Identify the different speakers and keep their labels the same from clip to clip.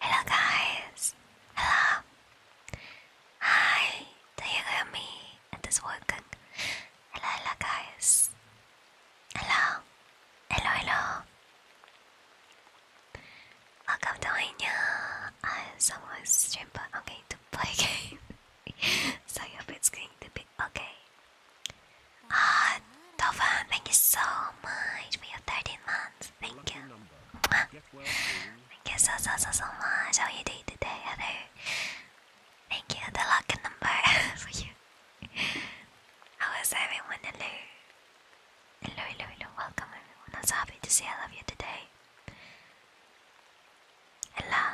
Speaker 1: Hello guys! Hello! Hi! Do you hear me? It is working. Hello, hello guys! Hello! Hello, hello! Welcome to my new uh, someone's stream, but I'm going to play a game. so your bit's going to be okay. Ah, Tovan, thank you so much for your 13 months. Thank you. thank you so, so, so, so much. How are you doing today, Heather? Thank you, the lucky number for you. How is everyone? Hello. Hello, hello, hello. Welcome, everyone. I'm so happy to see I love you today. Hello.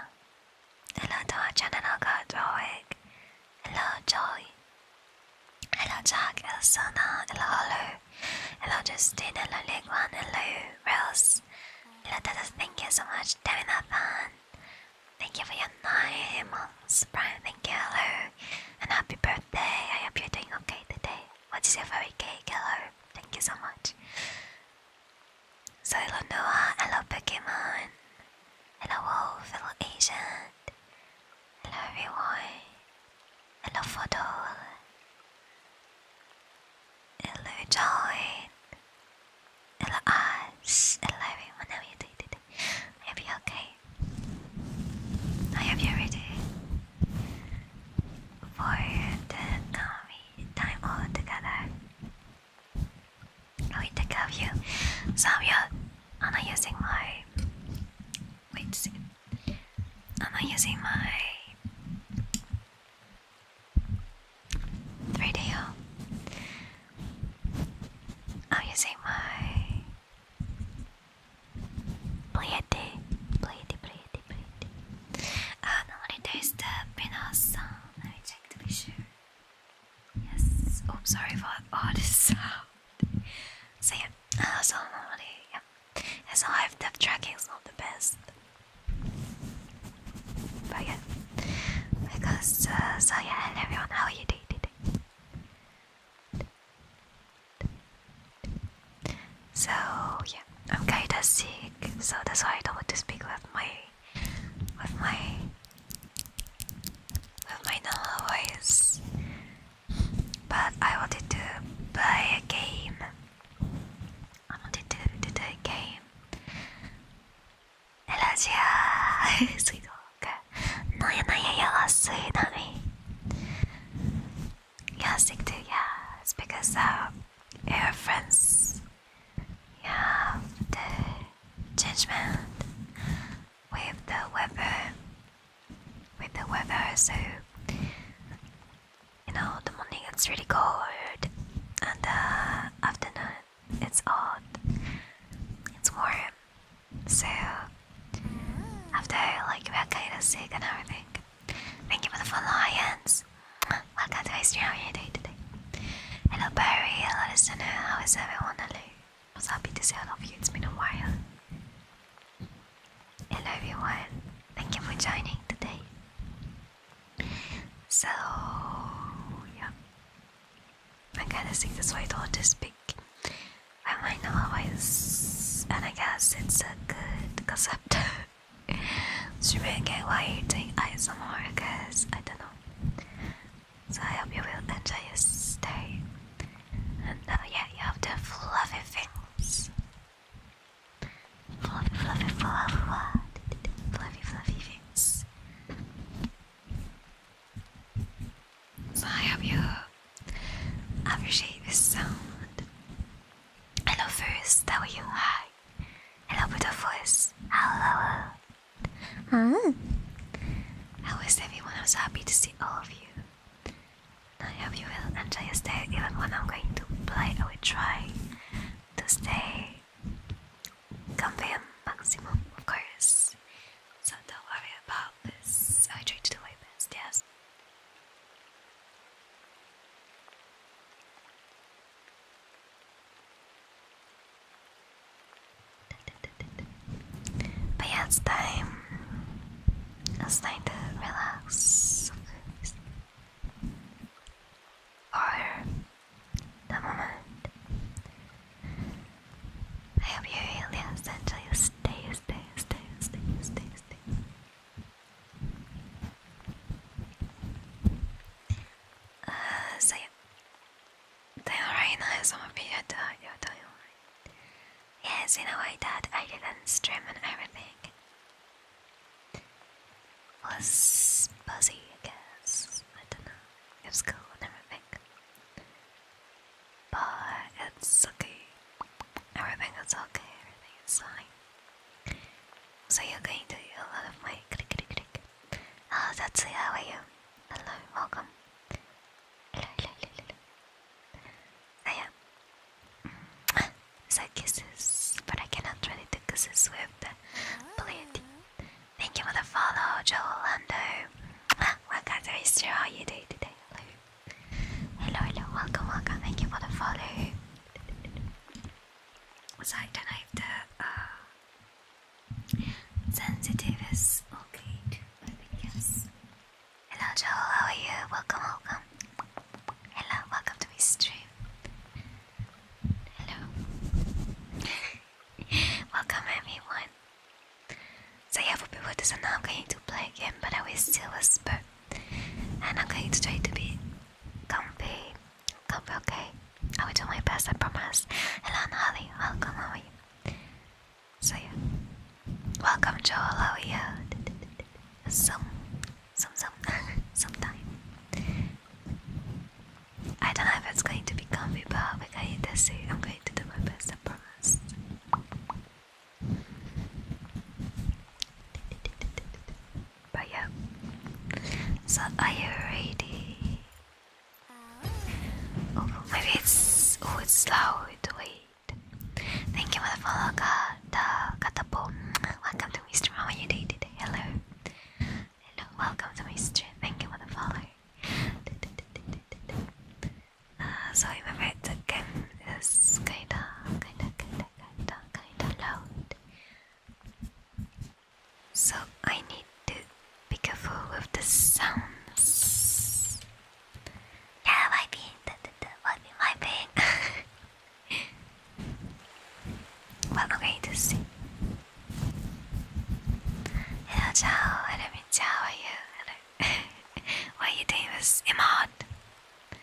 Speaker 1: Hello to our channel, God Rowick. Hello, Joy. Hello, Jack. Hello, Sana. Hello, Olu. Hello, Justin. Hello, Leguan. Hello, Rose. Hello, Tata. Thank you so much, Devinathan. Thank you for your nine months, Brian. Thank you, hello. And happy birthday. I hope you're doing okay today. What is your favorite cake? Hello. Thank you so much. So, hello, Noah. Hello, Pokemon. Hello, Wolf. Hello, Asian. Hello everyone. Hello photo. Hello John. Hello us. Hello everyone. are you doing today? I hope you're okay. I hope you're ready for the um, time all together. I will take care of you. So you I'm not using my wait see I'm not using my 3DO I'm using my Pliete Pliete Pliete Pliete uh, ah, normally there's the Pinos song let me check to be sure Yes, oops, oh, sorry for all this sound so yeah, uh, so normally, yeah, as I have depth tracking is not the best. But yeah, because, uh, so yeah, hello everyone, how are you today? So yeah, I'm kinda sick, so that's why I don't want to speak with my, with my with my normal voice, but I wanted to play a game. I wanted to do the game. Elasia, sweet walker. No, yeah, no, yeah, yeah, last sweet, not me. Yeah, stick to yeah. It's because uh, your friends, yeah, the judgment with the weapon with the weather, so you know, the morning it's really cold, and the afternoon it's hot, it's warm. So, after like we are kind of sick and everything, thank you for the follow, Welcome to Ice How today? Hello, Barry. Hello, listener. How is everyone? Hello. I was happy to see all of you, it's been a while. Hello everyone, thank you for joining today. So, yeah, I kind of sing this way to speak. I might know how I and I guess it's a good concept. Should we get why you're doing ASMR? Because I don't know. So I hope you will enjoy your stay. And uh, yeah, you have the fluffy things. Fluffy, fluffy, fluffy, fluffy, fluffy things. So I hope you appreciate this sound. Hello first, how are you? Hi. Hello beautiful voice. Hello. Huh? How is everyone? I'm happy to see all of you. I hope you will enjoy your stay even when I'm going to play. I will try to stay comfy and maximum, of course. So don't worry about this. I try to do my best, yes. But yeah, it's time. It's time to relax. For the moment. I hope you really essentially stay, stay, stay, stay, stay, stay. Uh, so Then right now, some of you are doing alright. Yes, in a way that I didn't stream and everything. Was busy, I guess. I don't know. It was cool and everything. But it's okay. Everything is okay, everything is fine. So you're going to do a lot of my click click click. Ah, that's how are you? Hello, welcome yeah. So kisses, but I cannot really do kisses with Blade. Thank you for the follow, Joel Lando. Welcome to Mr. today? Hello, hello, welcome, welcome. Thank you for the follow. So I don't know if the uh, okay too. I Hello Joe. how are you? Welcome, welcome. Hello, welcome to my stream. Hello. welcome everyone. So yeah, for people who not know, I'm going to play again, but I will still whisper. And I'm going to try to be comfy. Comfy, okay? I will do my best, I promise. Hello Nolly, welcome, how are you? So yeah. Welcome Joel, how are you? Some sometime. I don't know if it's going to be comfy but we're going to see. I'm going to do my best, I promise. But yeah. So are you ready? Uh. Oh, it's oh it's loud, wait. Thank you for the follow, Kata, Katapo. Welcome to my stream. you doing Hello. Hello. Welcome to my Thank you for the follow. Uh, so remember, the is kinda, kinda, kinda, kinda, kinda loud. So I need to be careful with the sounds. Yeah, wiping. That, that, that was me wiping. well, okay, just see. Hello, Hello, How are you? Hello. you doing this emote?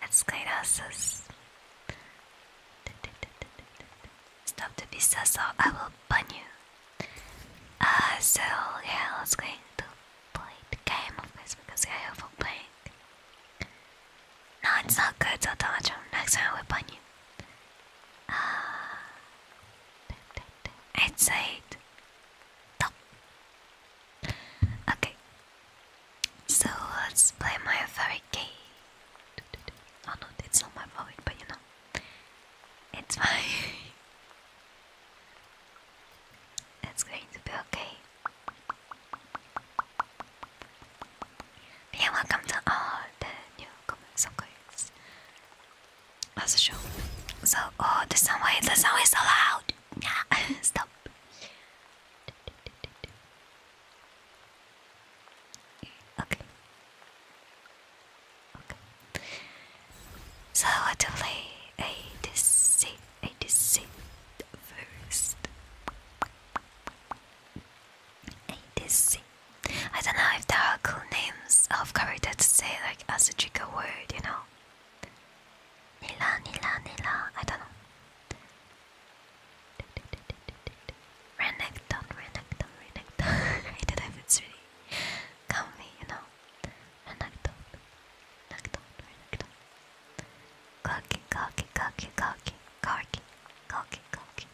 Speaker 1: That's great, asses. Stop to be sus I will ban you. Uh, so yeah, let's go the game of this because I overplayed. No, it's not good, Zotomacho. Next time I will ban you. Uh, I'd Okay. So let's play my favorite game. Oh no, it's not my favorite, but you know. It's my It's going to be okay. Yeah, welcome to all the newcomers, of course. That's a show. So, oh, the sound, why the sound is so loud? Nah, stop. Okay. Okay. So I to play ADC, ADC first. ADC. I don't know if there are cool names of characters to say like as a trigger word, you know. Nila, Nila, Nila, I don't know. Renekton, Renekton, Renekton. I don't know if it's really comfy, you know. Anecdote. Anecdote. Anecdote. Cocky, cocky, cocky, cocky, cocky, cocky, cocky.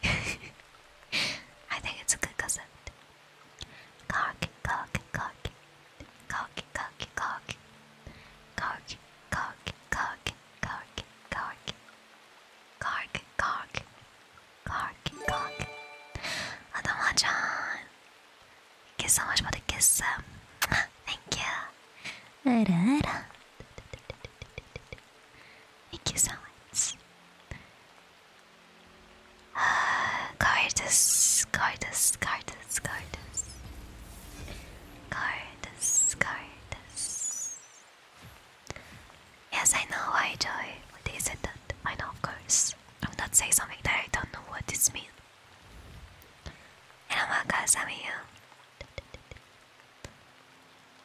Speaker 1: I think it's a good concept. Cocky, cocky, cocky, cocky, cocky, cocky, cocky, cocky, cocky, cocky, cocky, cocky, cocky, cocky, cocky. 頭ちゃん Thank you so much for the kiss. Thank you. Thank you so much. Cardus, Cardus, Cardus, Cardus. Cardus, Cardus. Yes, I know why, Joy. What is it that I know, of course. I'm not saying something that I don't know what this means. 山川さみよ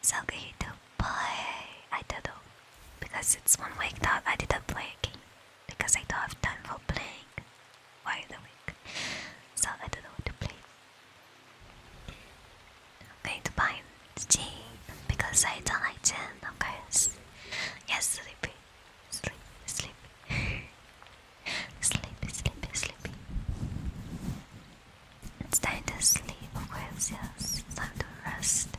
Speaker 1: Selkie to play. I did not because it's one week that I didn't play a game because I don't have time for playing Why the week, so I don't know what to play. I'm going to buy Steam because I don't like gin, of course. Yes, sleepy. Sleep, sleep. sleepy, sleepy, sleepy. It's time to sleep, of course, yes. It's time to rest.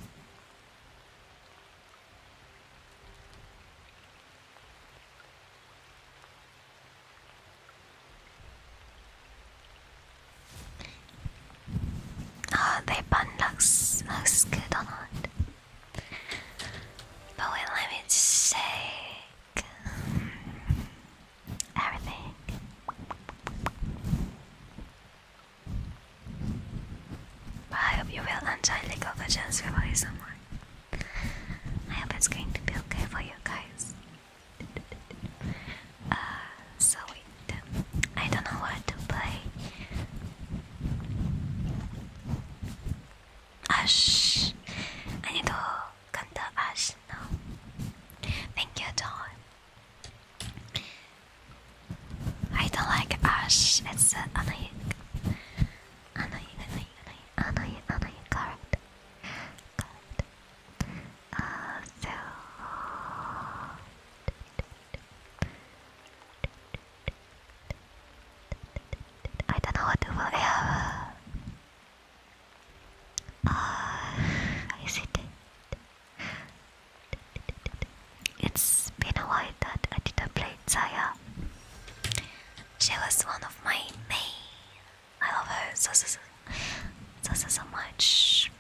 Speaker 1: Oh, they bun looks, looks good or not? But let me just everything. But I hope you will enjoy League of Legends with ASMR. I hope it's going to be okay for you guys. Uh, so I don't know what to play. Ash. I need to counter Ash now. Thank you, John. I don't like Ash. It's an annoying, annoying, annoying, annoying, annoying card. Card. Uh, so. I don't know what to vote. Yeah. Ah, uh, is it? has been a while that I didn't play Zaya. She was one of my main. I love her so so so, so, so, much.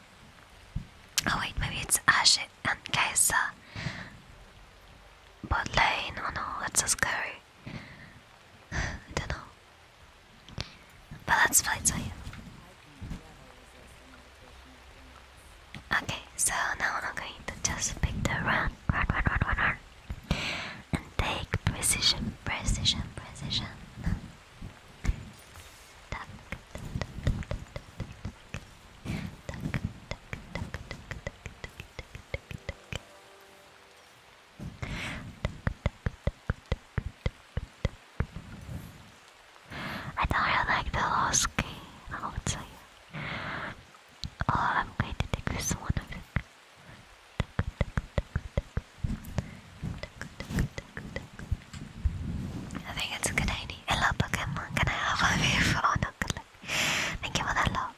Speaker 1: Oh wait, maybe it's Ashe and Kaisa. But Lane, oh no, that's so scary. I don't know. But let's fight for Okay, so now I'm going to just pick the run, run, run, run, run, And take precision, precision, precision. Duck, duck, duck, duck, duck, duck, duck, duck, duck, duck, duck, duck, duck, duck, duck, duck, duck, I don't like the last game, I would say. Oh, I'm going to take this one. I think it's a good idea. Hello Pokemon, can I have a view for oh, Thank you for the love.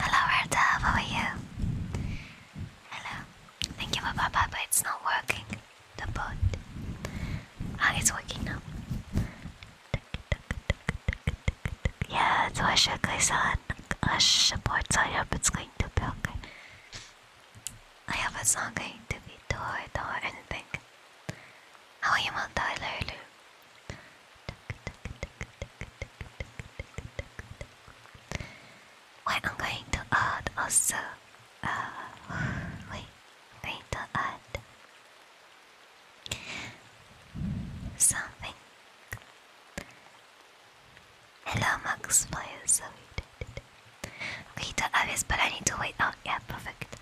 Speaker 1: Hello, Herta, how are you? Hello. Thank you for Papa, but it's not working. The boat. Ah, it's working now. Yeah, it's Ashaka-san. Ash supports Europe, it's going to be okay. I have a song going to be door, door, anything. How you will die, Lulu? Uh, wait, I'm going to add also. wait, going to add something. Hello, Max Players. Okay, the obvious, but I need to wait. Oh, yeah, perfect.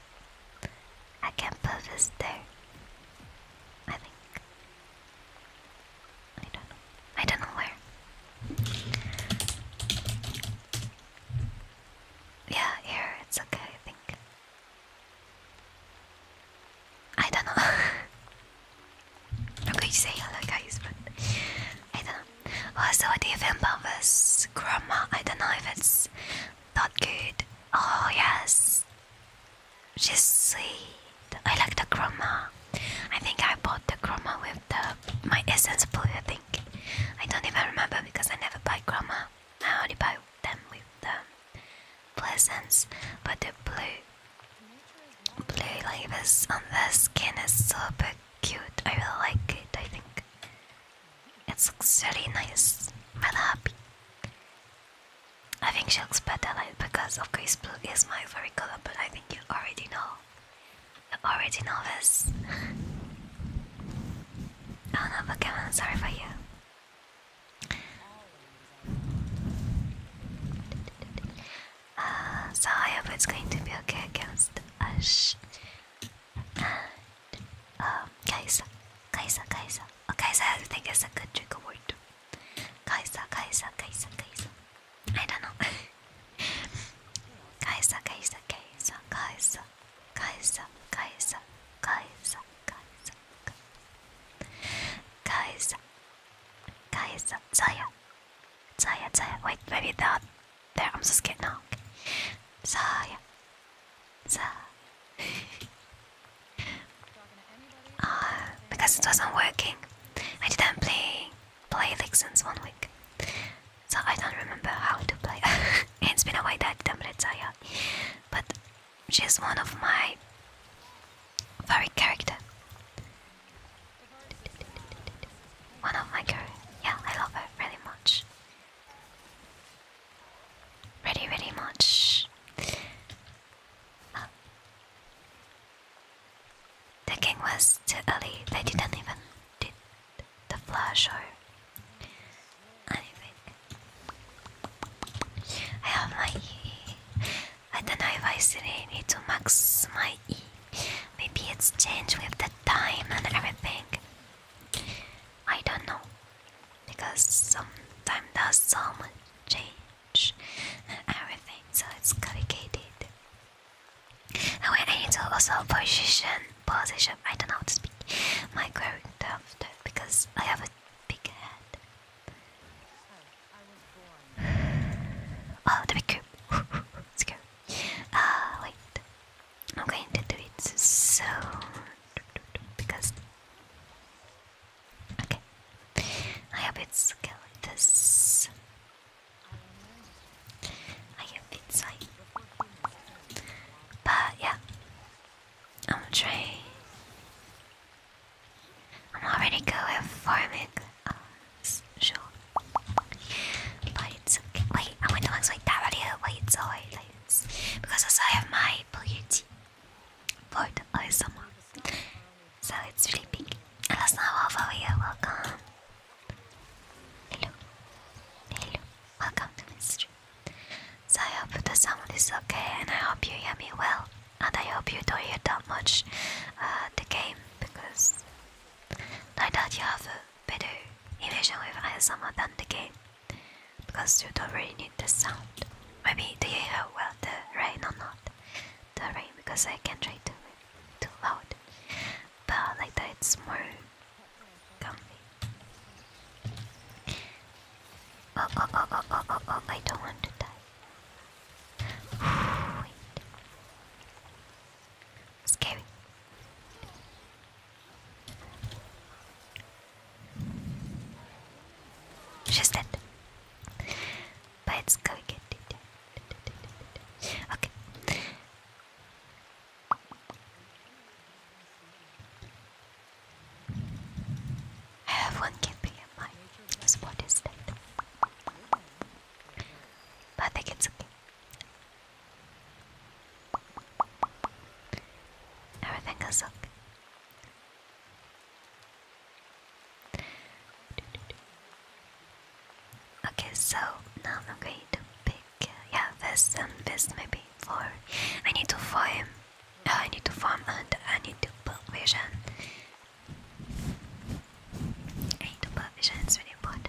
Speaker 1: I can put this there. I think. I don't know. I don't know where. Yeah, here, it's okay, I think. I don't know. i to say hello, guys, but I don't I saw the feel pompous? Grandma, I don't know if it's not good. Oh, yes. She's sweet. I like the grandma. I think I bought the grandma with the my essence blue, I think. I don't even remember because I never buy grandma. I only buy them with the pleasants, but the blue blue leaves on the skin is so big cute. I really like it. I think it looks really nice. i happy. I think she looks better like because of course blue is my favorite color, but I think you already know. You already know this. oh no, Pokemon, sorry for you. Uh, so I hope it's going to be okay against Ash. And um Kaisa, Kaisa, Kaisa. Oh, Kaisa I think is a good trigger word. Kaisa, Kaisa, Kaisa, Kaisa. I don't know. Kaisa, Kaisa, Kaisa, Kaisa, Kaisa, Kaisa, Kaisa, Kaisa, Kaisa, Kaisa, Zaya, Zaya, Zaya. Wait, maybe that there, I'm just getting out. So yeah. So uh, because it wasn't working, I didn't play play like since one week. So I don't remember how to play. it's been a while that I didn't play Zaya. But she's one of my favorite character one of my girl. Yeah, I love her really much. Really, really much. Um, the king was too early. They didn't even do the flash or anything. I have my E. I don't know if I still need to max my E. Maybe it's changed with the time and everything. I don't know because sometimes there's some change everything, so it's complicated. wait, I need to also position, position. I don't know how to speak my character after because I have a big head. Oh, the big cube. Let's go. Ah, wait. I'm going to do it so because okay. I hope it's like this. I hope it's like, but yeah, I'm trying. I'm already good farming. Uh, sure. But it's okay. Wait, I went to looks that video. Wait, it's alright. Like this. also have my beauty board ASMR. So it's really big. And that's not all Welcome. Hello. Hello. Welcome to my stream. So I hope the sound is okay and I hope you hear me well. And I hope you don't hear that much uh, the game because I doubt you have a better eventually with Ayasama than the game because you don't really need the sound. Maybe do you hear well the rain or not? The rain because I can't try too too loud. But like that it's more comfy. Oh oh oh oh oh oh, oh I don't want to die. Scary. She's dead. But it's going to Okay. I have one camping at my spot instead. But I think okay. Everything is okay. Okay, so now I'm going to pick, uh, yeah, this and um, this maybe for. I need to form, uh, I need to form and I need to put vision. I need to put vision, it's really important.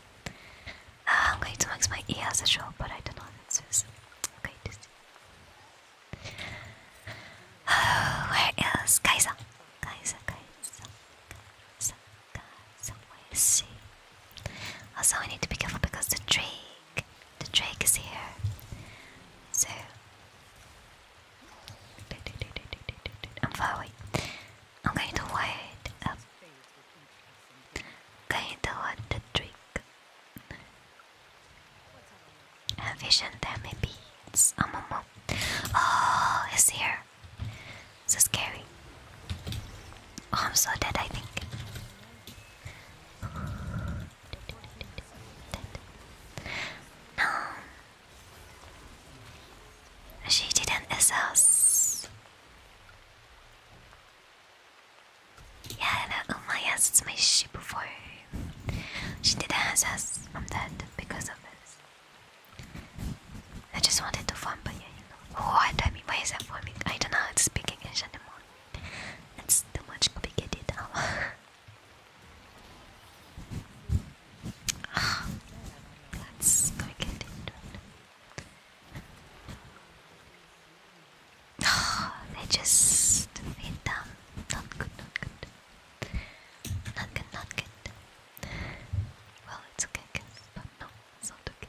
Speaker 1: I'm going to mix my E as a show, but I don't know what this is. I'm oh, where else? Kaiser. Kaiser, Kaiser. Kaiser, Kaiser. Also, I need to be careful because the drake. The drake is here. So. I'm far I'm going to wind up. Going to want the trick. And vision damage beats. I'm a mom. Oh, it's here. So scary. Oh, I'm so dead, I think. No. She didn't assess. Yeah, oh my Umaya it's my ship before. She did has us. I'm dead because of this. I just wanted to vampire, you know. What? I mean, why is that for I don't know how to speak English anymore. That's too much complicated now. That's complicated. Oh, they just feed them. Not good, not good. Not good, not good. Well, it's okay, I but no, not okay.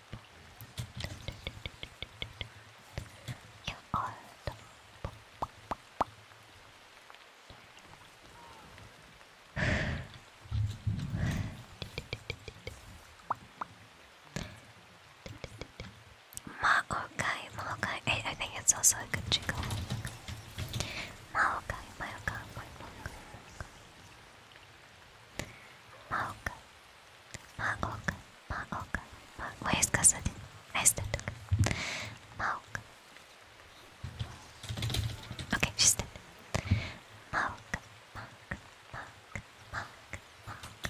Speaker 1: You are the Maokai, Maokai. I, think it's also a good jingle. Maokai, Maokai, Maokai, Maokai. Maoka. Maoka. Maoka. Where is Kasadin? I is that? Maoka. Okay, she's dead. Maoka. Maoka. Maoka. Maoka. Maoka.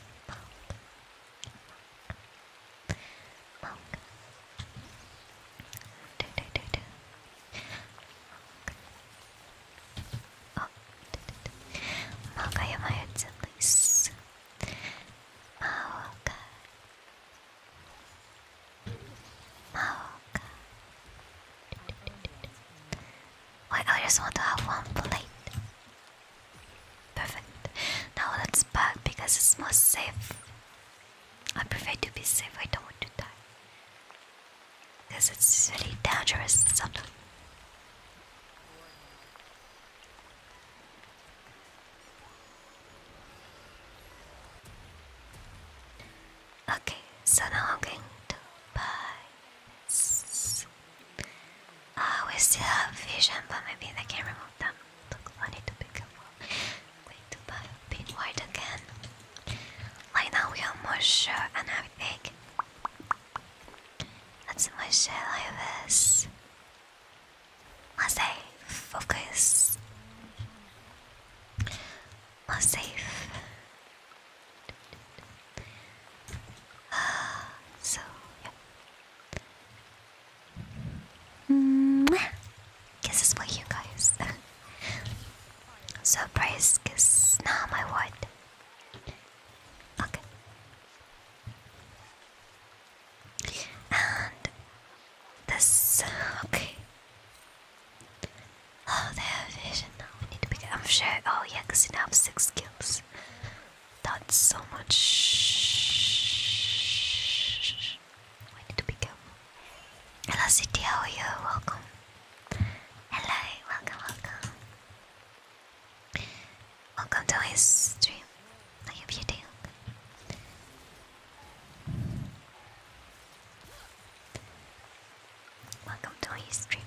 Speaker 1: Maoka. Maoka. Do do do do. Maoka. あ真岡山やつのいっす真岡真岡 Wait, I just want to have one plate. Perfect. Now let's because it's more safe. I prefer to be safe, I don't want to die. Because it's really dangerous sometimes. Okay, so I'm going to buy Ah, we still have vision, but maybe they can remove them. Look, I need to pick up more. Going to buy a bit white again. Like now we are more sure and have egg. That's my share like this. Must I focus? More safe. Uh, so yeah. Mm -hmm. Guess for you guys. Surprise kiss. Now my what? Okay. And this okay. Oh, they have vision now. We need to pick I'm sure. Oh yeah, because you now have six skills. That's so much. We need to pick up. Hello, City. How are you? Welcome. Hello, welcome, welcome. Welcome to his stream. I hope you do. Welcome to his stream.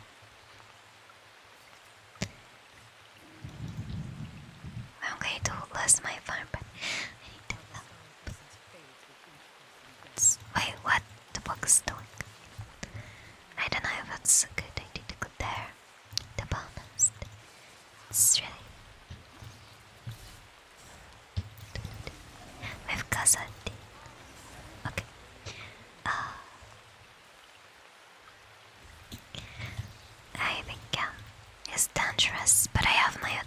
Speaker 1: I'm going to lose my farm, but Wait, what? the box doing. I don't know if it's a good idea to go there, to be It's really. We've got something. Okay. Uh, I think yeah, it's dangerous, but I have my own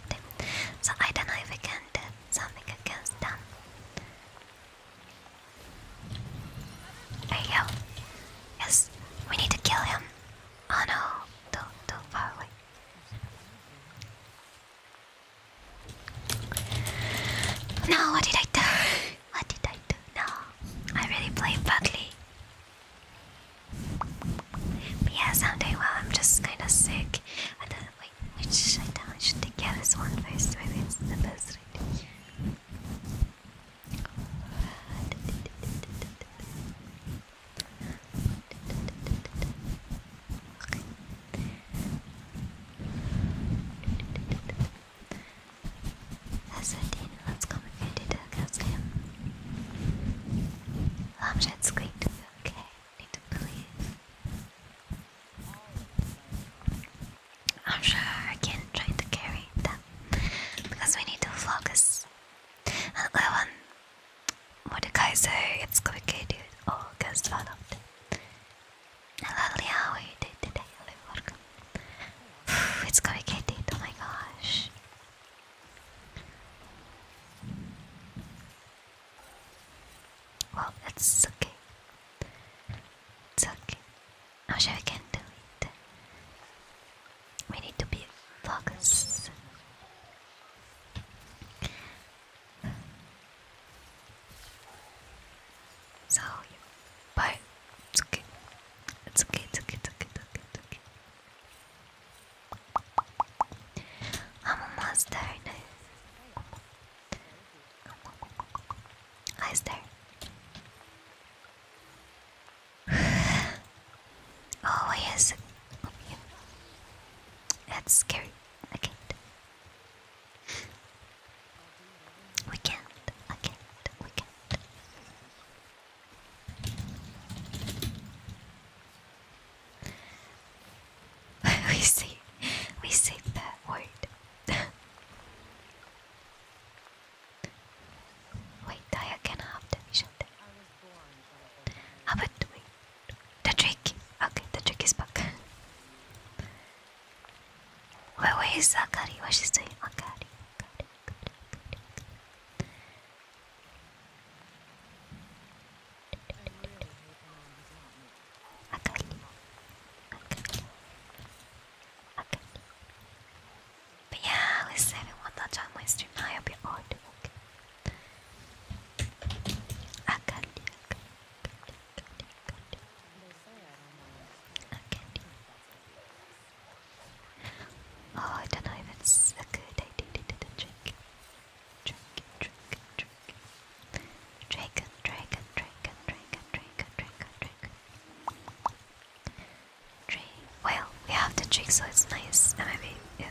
Speaker 1: so I don't know if I can do something against them. There you go. Yes, we need to kill him. Oh no, too, too far away. No, what did I do? What did I do? No, I really played badly. But yes, i well. I'm just kind of sick. wait, which I, don't, I should take this one first. Maybe it's the best. Let's complicate it against him. Lamshad's going to be okay, I need to believe. I'm sure I can try to carry that because we need to focus. And what one, guys say it's going to be quicker, dude. Oh, guess one of them. Lovely how you did today. Welcome. It's complicated. Oh my gosh. Well, it's okay. It's okay. Now sure I can do it. We need to be focused. So, but It's okay, it's okay, it's okay, it's okay, it's okay. I'm a monster now. Eyes there. oh yes, that's scary. I can't. We can can't. We can't. we say, we say that word. Wait, I can not have the vision. How about we? The trick! Okay, the trick is back. where, where is Akari? What she's doing? Akari, Akari, Akari, Akari. Akari. Akari. Okay. But yeah, at least everyone that's on my stream now, you'll be all doing okay. I can do it. Okay. Oh, I don't know if it's a good idea to drink. Drink, drink, drink. Dragon, dragon, dragon, dragon, dragon, dragon, dragon, trick. Well, we have to drink, so it's nice. maybe we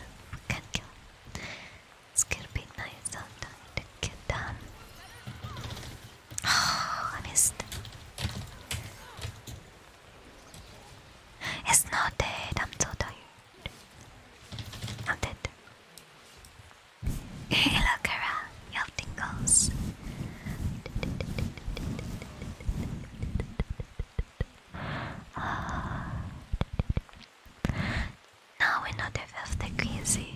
Speaker 1: can kill It's gonna be nice sometime to get done. Oh, I missed. It's not dead. I'm so tired. I'm dead. Hey, look you have tingles. Uh, ah. now another fifth crazy.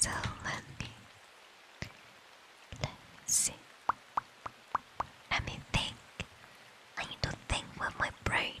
Speaker 1: So let me let me see. think. I need to think with my brain.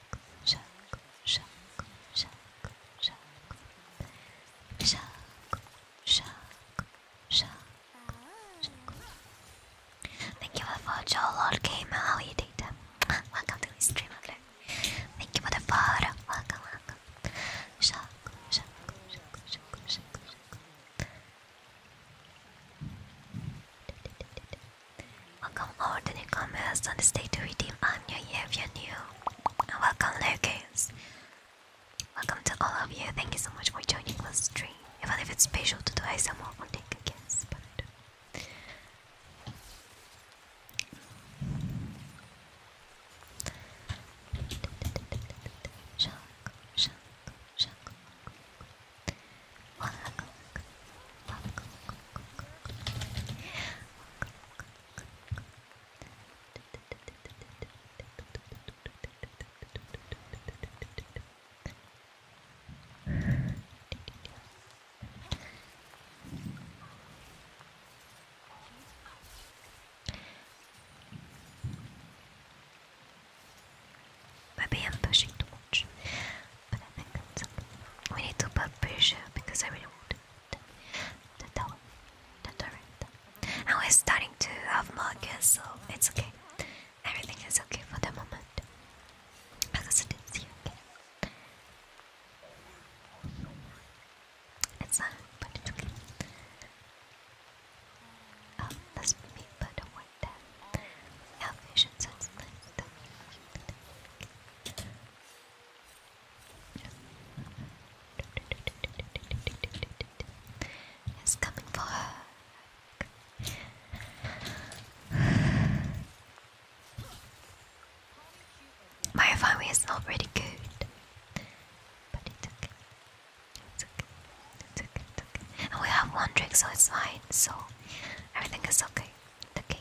Speaker 1: shark, shark, shark, shark, Thank you for your Lord Gamer. How are you doing? Welcome to the stream, Thank you for the follow. Welcome, welcome. Shark, shark, Welcome over the comments on the state to redeem. I'm new here if new. And welcome Lucas. Welcome to all of you. Thank you so much for joining the stream. Even if it's special to do ASMR on Nick, I guess, but I don't. Maybe I'm pushing too much, but I think it's okay. We need to put pressure because I really want the tower, the turret. Now we're starting to have more guess, so it's okay. Everything is okay for the moment. Because it is here, okay? It's not, but it's okay. Oh, that's me, but I want that. Elvish and such it's coming for her. My farming is not really good, but it's okay. It's okay. It's okay. It's okay. And we have one drink, so it's fine. So everything is okay. okay.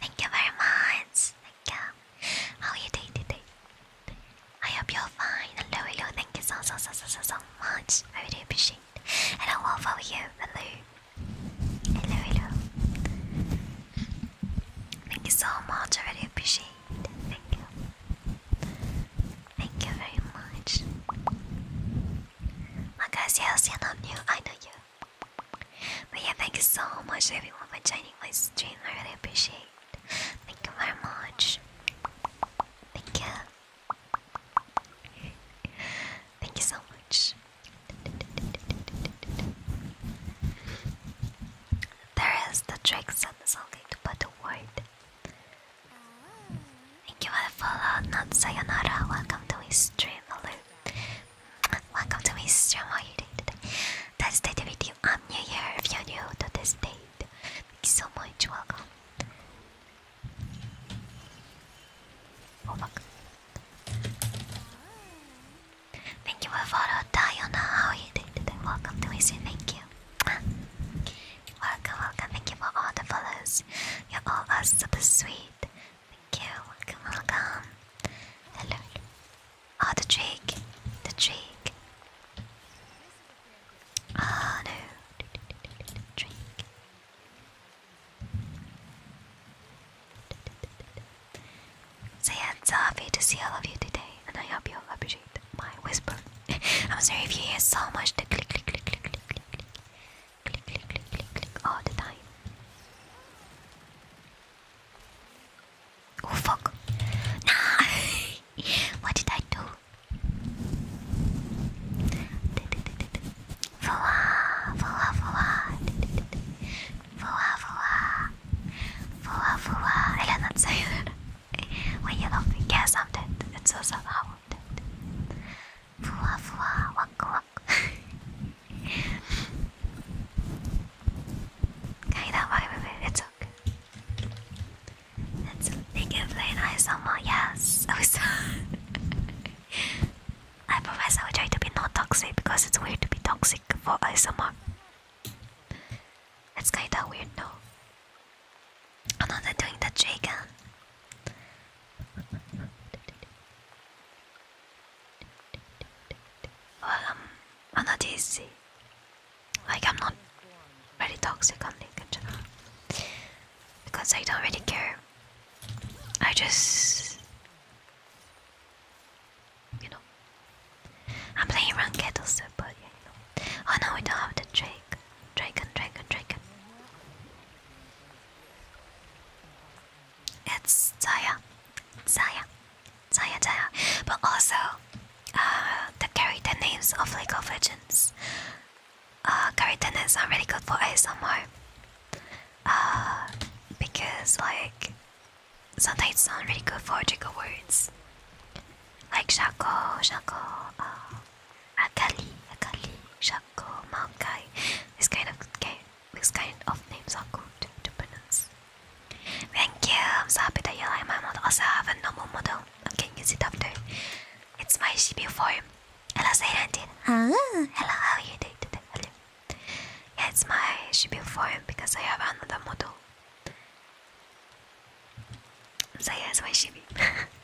Speaker 1: Thank you very much. Thank you. How are you doing today? I hope you're fine. Hello, hello. Thank you so, so, so, so, so much. I really appreciate it. And I you. Hello. Hello, hello. Thank you so much. I really appreciate Thank you. Thank you very much. My guys, yes, you're not I know you. But yeah, thank you so much everyone for joining my stream. I really appreciate it. Thank you very much. Thank you. Thank you so much. There is the tricks and the song to put the word. Thank you for the follow, not sayonara. Welcome to his stream, hello. Welcome to my stream. How are you doing today? That's the day with you. I'm new here. If you're new to this date, thank you so much. Welcome. Oh Thank you for follow Diana. How you doing today? Welcome to my stream. Thank you. Welcome, welcome. Thank you for all the follows. You're all so sweet. Thank you. Welcome, welcome. Hello. Oh, the Drake. The Drake. Ah, no. Drake. So yeah, it's to see all of you today, and I hope you all appreciate my whisper. I'm sorry if you hear so much the click, click, click, click, click, click, click, click, click, click, click all the time. Oh fuck. Nah. what did I do? Voila, voila, voila. Voila, voila. Voila, voila. I did not say that. When you love me, I'm dead. It's so sad how I'm dead. Voila, voila. Okay, don't worry It's okay. Let's playing nice someone. Yes, I was. I promise I will try to be not toxic because it's weird to be toxic for ISMR. That's kinda weird though. Oh no, they doing that dragon. Well, um, i like I'm not really toxic on LinkedIn channel because I don't really care. I just you know I'm playing ranked also, but yeah, you know. Oh no, we don't have the drink. Dragon, Dragon, Dragon. It's Zaya, Zaya. Taya Taya. But also, uh, the character names of League of Legends. Uh, character names are really good for ASMR. Uh, because like, sometimes it's not really good for trigger words. Like Shaco, Shaco, uh, Akali, Akali, Shaco, Maokai. This kind of game, this kind of names are good to pronounce. Thank you. I'm so happy that you like my model. Also, I have a normal model. I'm getting use it after. It's my CPU form. Hello, Zayrantin. Hello. Ah. Hello, how are you doing today? Hello. Yeah, it's my CPU form because I have another model. So yeah, it's my shippy.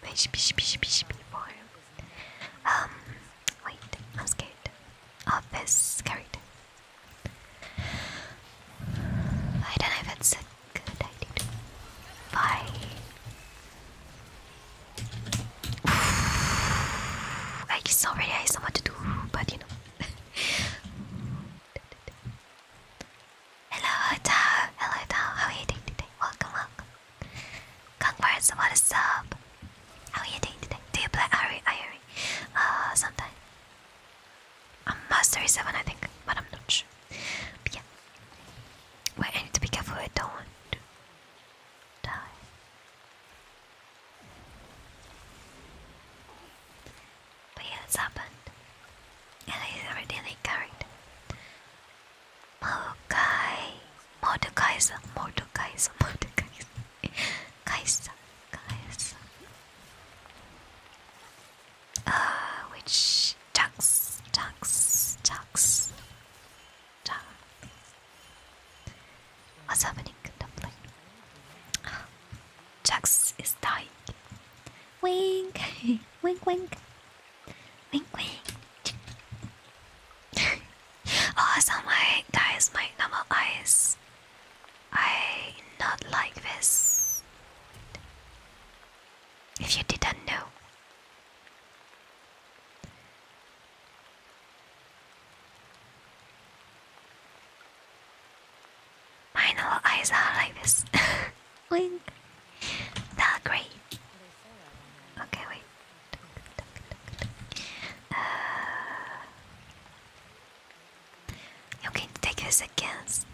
Speaker 1: my shippy, shippy, shippy, shippy form. Um, wait, I'm scared. Of this character. I don't know if it's a good idea to buy. I just already have so much to do, but you know. Hello, Tao. Hello, Tao. How are you doing today? Welcome, welcome. Congrats, what is up? How are you doing today? Do you play Ari? Ari? Uh, sometime. I'm mass 37 I think, but I'm not sure. yeah. Wait, I need to be careful, I don't die. But yeah, it's happened. And he's already carried. Mokai Mordokaiser Mordokaiser Mordokaiser Kaiser Kaiser uh, which ducks, ducks, ducks, ducks. What's happening? Dumpling. Jax is dying. Wink, wink, wink, wink, wink. oh, so my guys, my normal eyes I not like this. If you didn't know. My little eyes are like this. Wink. That's great. Okay, wait. Uh, you can take us against.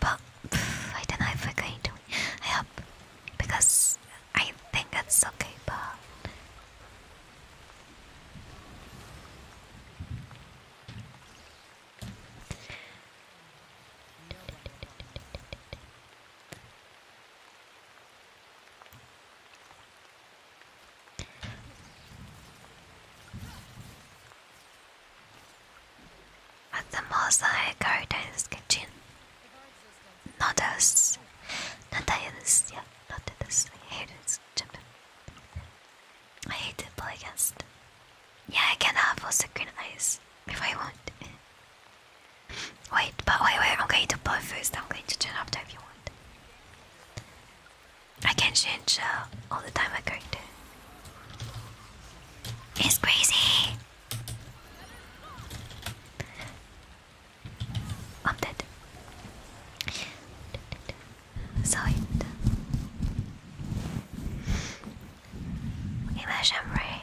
Speaker 1: But I don't know if we're going to help because I think it's okay, but. At the Mosaic Garden's kitchen. Not us. Not us. Yeah, not us. I hate it. I hate to play against. Yeah, I can have full screen eyes if I want. Wait, but wait, wait, I'm going to blow first, I'm going to turn up to if you want. I can change uh, all the time my character. It's crazy! I'm dead. So it. Imagine i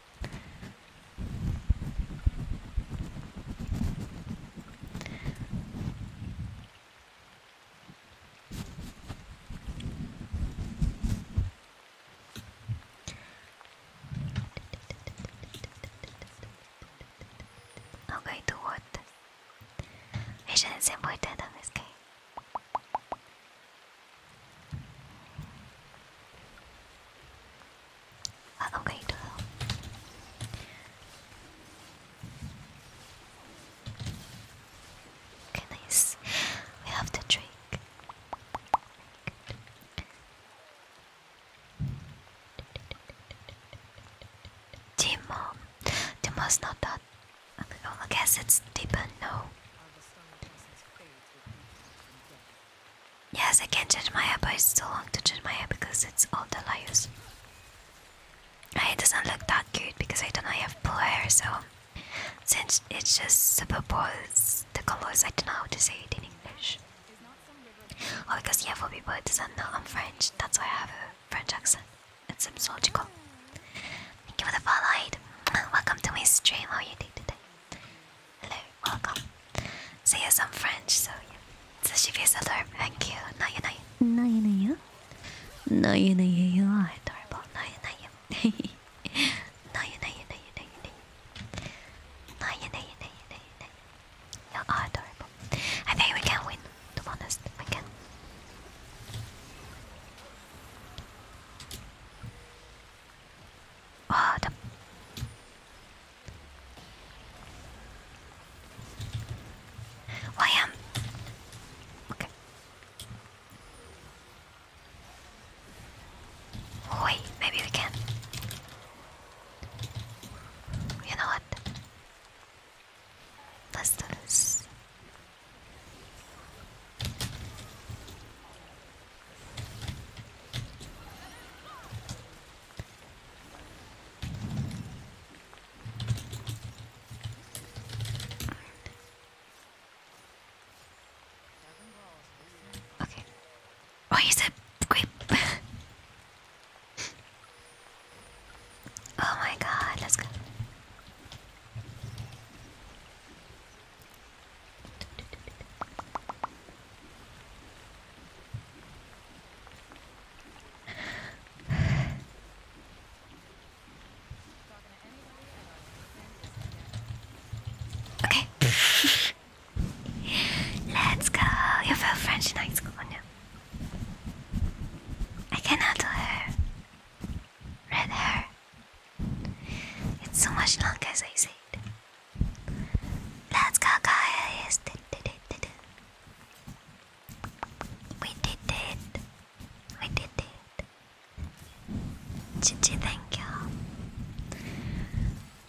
Speaker 1: Okay, to what? Mission is important on this game i ah, Okay, nice. We have to drink. Good. Timo. not that. I guess it's Deepen, no. Yes, I can not change my hair, but I still want to change my hair because it's all that I use. It doesn't look that good because I don't have blue hair, so since it's just super superposes the colors, I don't know how to say it in English. Oh, because yeah, for people who doesn't know I'm French, that's why I have a French accent. It's seems logical. Thank you for the follow. Welcome to my stream. How you doing today? Hello, welcome. So yes, I'm French, so yeah. Sushi face adorable, thank you. No, you know you. No, you know you. No, you know you. You are adorable. No, you know you. No, you know you. No, you know you. No, you know you. No, you know you. You are adorable. I think we can win. To be honest, we can. Oh, the... Why am? Okay. Oh, wait, maybe we can. You know what? Let's do this. Okay. Oh, here's a grape. oh my god, let's go. Okay. Let's go. You feel French in high school, now. I cannot do her. Red hair. It's so much longer as I said. Let's go, guys! We did it! We did it! Gigi, thank you.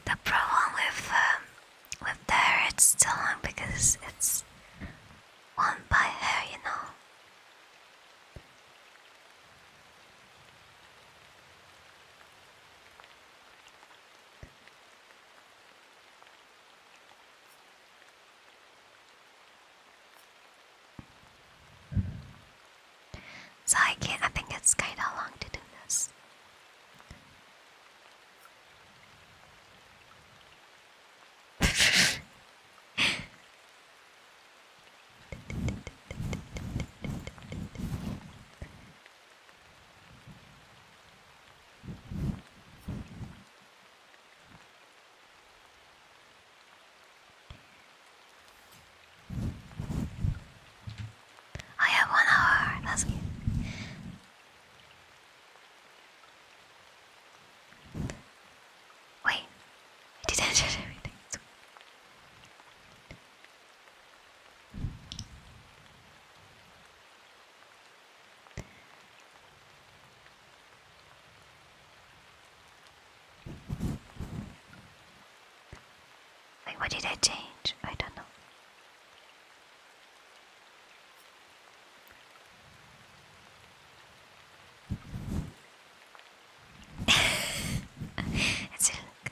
Speaker 1: The problem with um, with the it's so long because it's worn by hair, you know. So I can I think it's kinda long to do this. I oh, have one hour, that's good. Wait, didn't shut everything. Like, what did I change? I don't know. it's a look.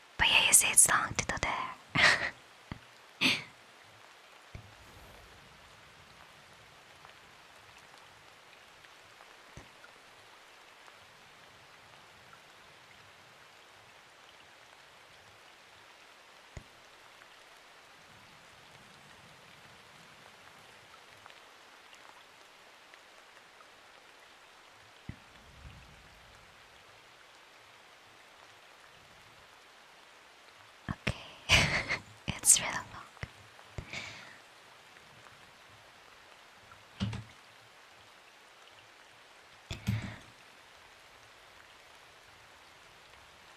Speaker 1: But yeah, you see it's long to the there. Okay, it's really long.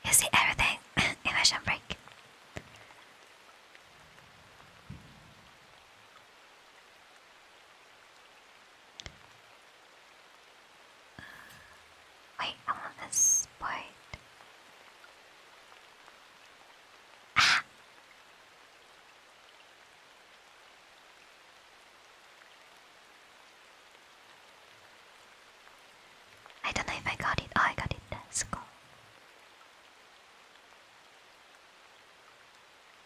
Speaker 1: You see everything immersion break wait, I want this part. Ah! I don't know if I got it. Oh, I got it. let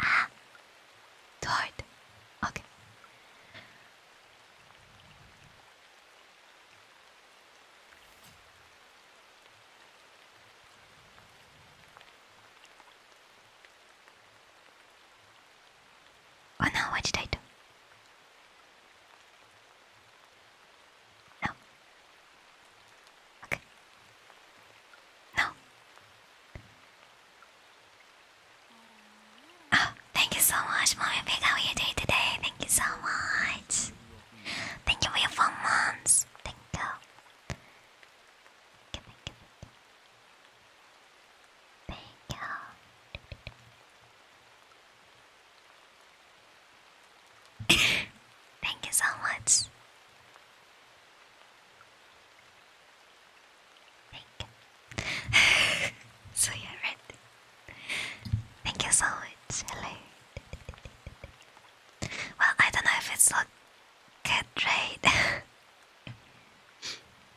Speaker 1: Ah, dort. Okay. Oh no, what did I do? No, Okay. No. Oh, thank you so much, Mommy Pig. How are you doing today? Thank you so much. Thank you for your four months. thank you, thank you. Thank you. Thank you so much. Thank so you're Thank you so much. Well, I don't know if it's not good, right?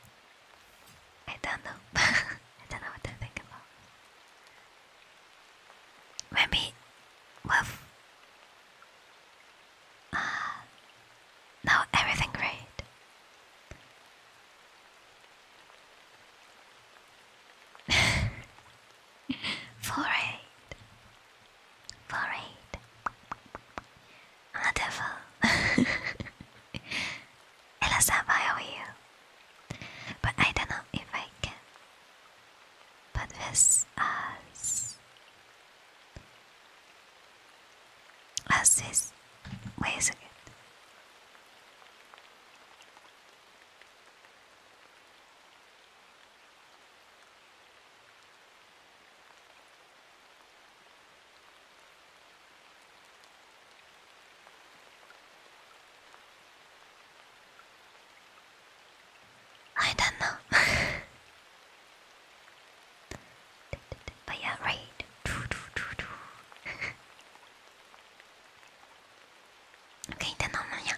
Speaker 1: I don't know. I don't know what to think about. Maybe with Ah, now everything great. Four eight, four eight. Wonderful. Elsa, I owe you, but I don't know if I can. But this us as this. Wait a I don't know. but yeah, right. okay, then on yeah.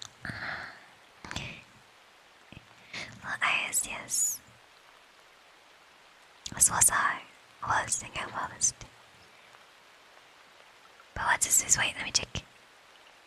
Speaker 1: Well, yes, yes. This was I. was thinking I was. But what is this? Wait, let me check.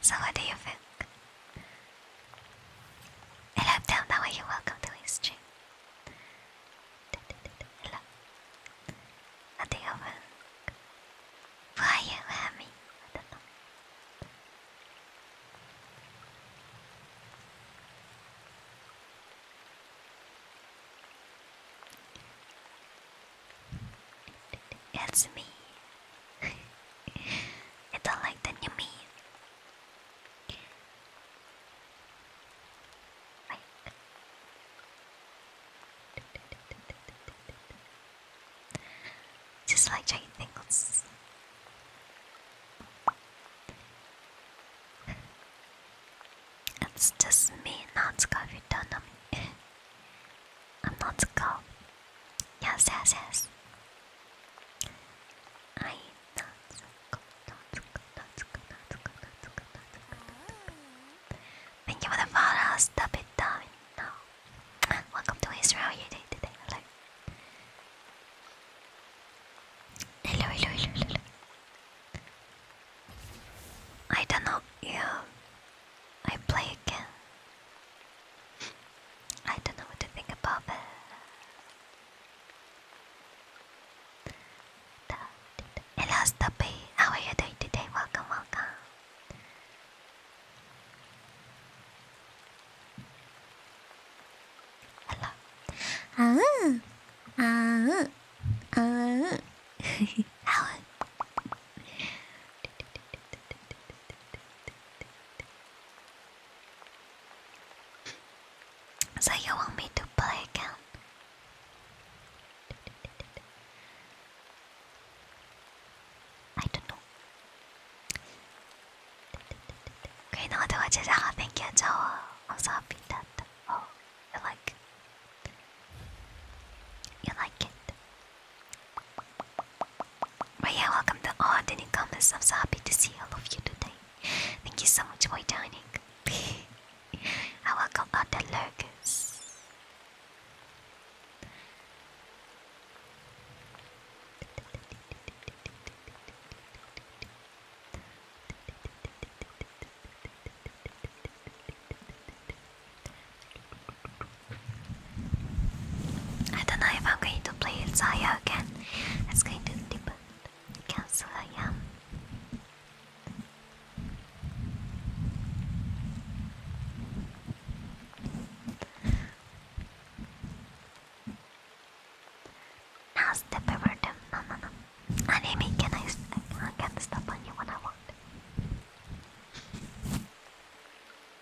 Speaker 1: so, what do you Hello, down that way. you welcome to his stream. Hello. What do Why are you happy? It's me. I don't like the new me. Just like giant things. It's just me, Natsuko, if you don't know me. I'm not Natsuko. Yes, yes, yes. I Natsuko, Natsuko, Natsuko, Natsuko, Natsuko, Natsuko. Thank you for the follow, stop it down now. Welcome to Israel, you day today, hello. Hello, hello, hello, hello. I don't know Yeah, I play again. I don't know what to think about it. Hello, Stoppy. How are you doing today? Welcome, welcome. Hello. Ah, ah, ah. So you want me to play again? I don't know. Okay, no, I just thank you, Joe. I'm so happy that. Oh. You like it. You like it. But welcome to all the new I'm so happy to see all of you today. Thank you so much for joining. I welcome all the I don't know if I'm going to play Zaya again. It's going to depend. Cancel I am. Now's the paper, Anime, can I, I can step on you when I want?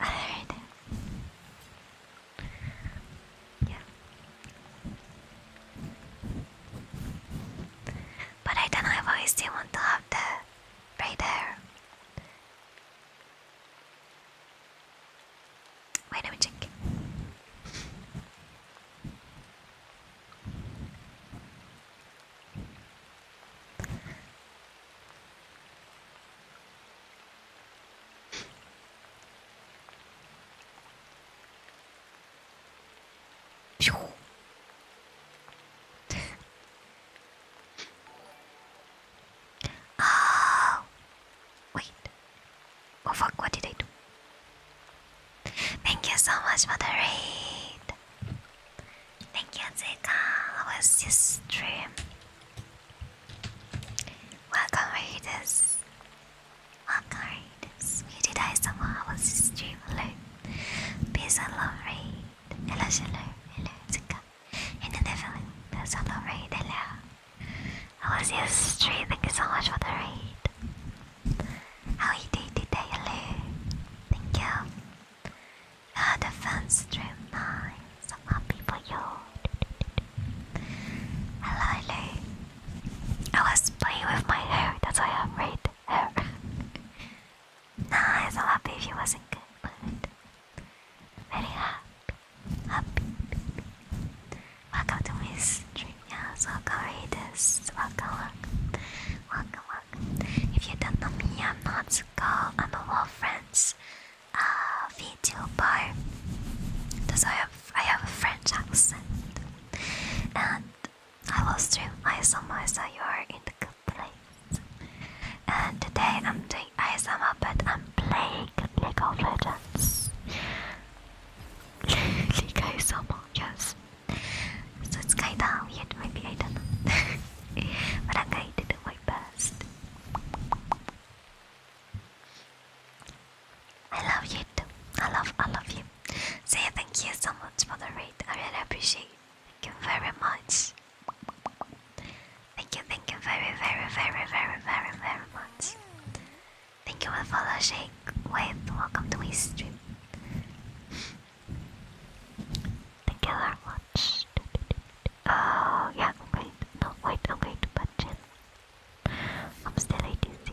Speaker 1: Alright. Yeah. But I don't know still want to have that right Wait, let me Oh, wait. Oh fuck, what did I do? Thank you so much for the read. Thank you, Zika. How was this stream? Welcome, readers. Welcome, readers. Muted Isamo, was this stream? Hello. Peace and love, raid. Hello, hello, hello, Zika. And the devil, peace and love, raid. Hello. How was your stream? Thank you so much for the raid. How you doing today, Lou? Thank you. Had a fun stream, nice. i happy for you. Hello, Lou. I was playing with my hair, that's why I have red hair. nice, i happy if wasn't good, but very happy. Happy. Welcome to my stream, Welcome, readers. welcome. Welcome, work. If you don't know me, I'm Natsuko. I'm a wall friends uh, VTuber. Because I have, I have a French accent. And I will stream ISMR so you are in the good place. And today I'm doing ISMR but I'm playing League of Legends. League ISMR, yes. So it's kinda hard, maybe I don't but I'm going to do my best. I love you I love all of you. Say thank you so much for the rate. I really appreciate Thank you very much. Thank you, thank you very, very, very, very, very, very much. Thank you for following. shake. welcome to my stream. Thank you very much. Oh, yeah, i no, wait, I'm going to punch in. I'm still ADC.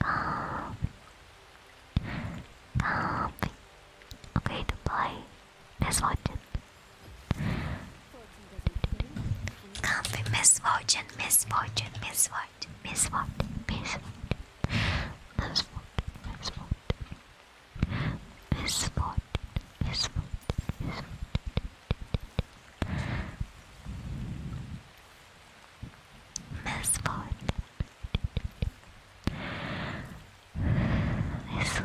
Speaker 1: Calm. Calm. Okay, goodbye. Misfortune. Comfy misfortune, misfortune, misfortune, misfortune, misfortune, misfortune, misfortune, misfortune, misfortune, misfortune misfortune. This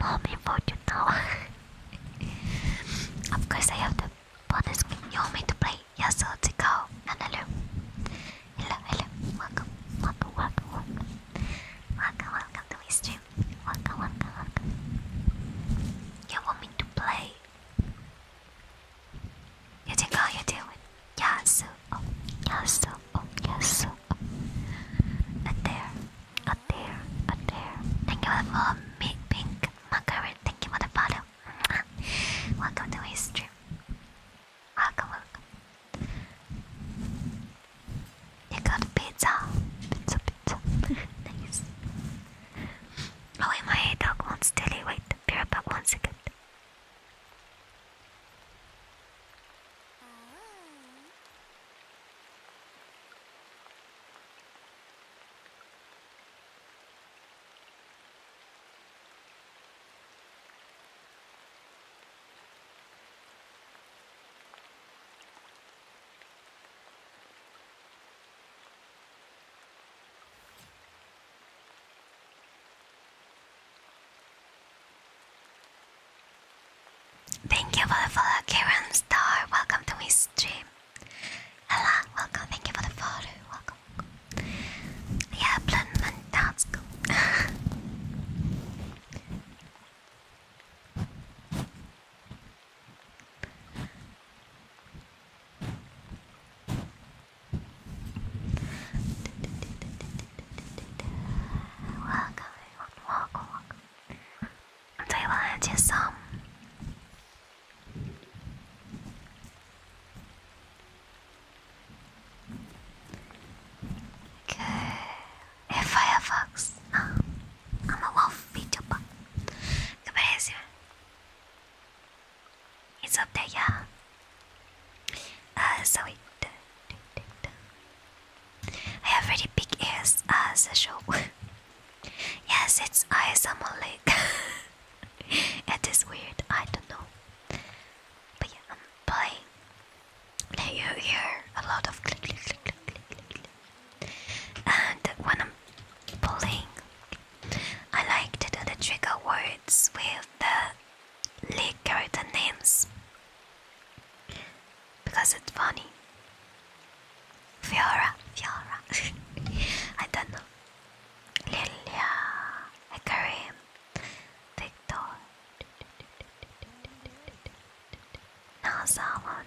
Speaker 1: mommy fortune now. of course, I have to bonus You want me to play? Yes, let's go. And hello, hello, hello. Welcome, welcome, welcome, welcome. Welcome, to my stream. Welcome, welcome, welcome. You want me to play? You think how you doing? Yes, oh, yes, oh, yes. Oh. And there, up there, up there. Thank you for the follow, me, pink macaron. Thank you for the follow. welcome to my stream. Welcome, welcome. You got pizza, pizza, pizza. nice. Oh wait, my dog wants Tilly. Wait, be back one second. Thank you for the follow, Karen Star. Welcome to my stream. Hello, welcome. Thank you for the follow. Welcome. Yeah, Bloodman, that's cool. Welcome, welcome, welcome. Do you want to do some? Good. If I am a wolf, beat up. Good, it's up there, yeah. Uh, so I have really big ears as a show. yes, it's ASMR it is weird, I don't know. But yeah, I'm playing. Now you hear a lot of click, click, click, click, click, click. And when I'm pulling, I like to do the trigger words with the league character names because it's funny. Fiora, Fiora. I don't know. Lilia, Karim, Victor. No, someone,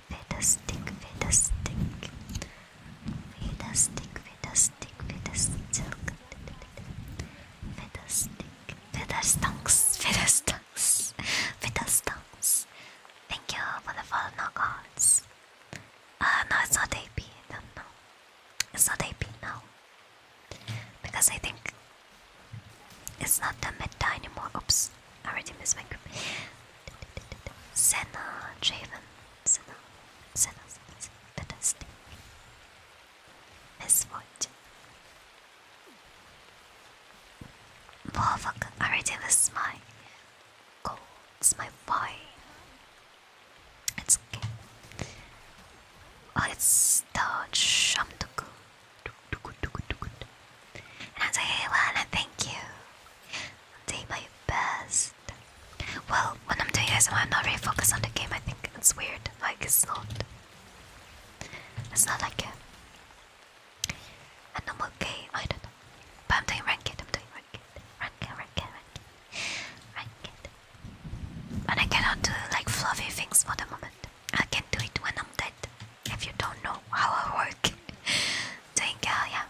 Speaker 1: fantastic, fantastic, fantastic, fantastic, fantastic, fantastic, fantastunks, fantastunks, fantastunks. Thank you for the follow knockouts. Uh, no, it's not AP. No, no, it's not AP now because I think it's not the meta anymore. Oops, I already missed my group. Senna, Javen, Senna, Senna, Senna, fantastic. Misfortune. Warfuck already was my goal, it's my boy. It's okay. Oh, it's the Shamduku. And I say, hey, Lana, thank you. I'll do my best. Well, when I'm doing this, I'm not really focused on the game. I think it's weird. Like it's not. It's not like a, a normal game. I don't know. But I'm doing ranked. I'm doing ranked. Ranked. Ranked. Ranked. Ranked. And I cannot do like fluffy things for the moment. I can do it when I'm dead. If you don't know how I work, doing uh, yeah,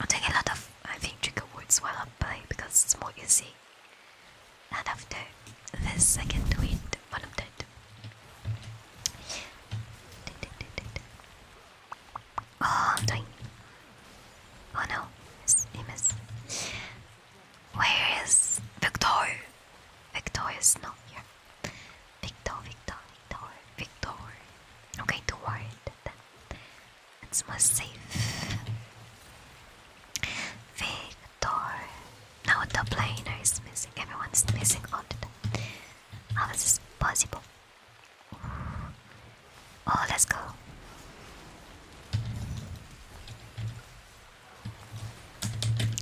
Speaker 1: I take a lot of I think trigger words while I play because it's more easy. And after this I can do it when I'm Oh I'm doing Oh no, he missed. Where is Victor? Victor is not here. Victor, Victor, Victor, Victor. Okay, too it's more safe. Victor. Now the planer is missing. Everyone's missing on it. How this possible? Oh, let's go.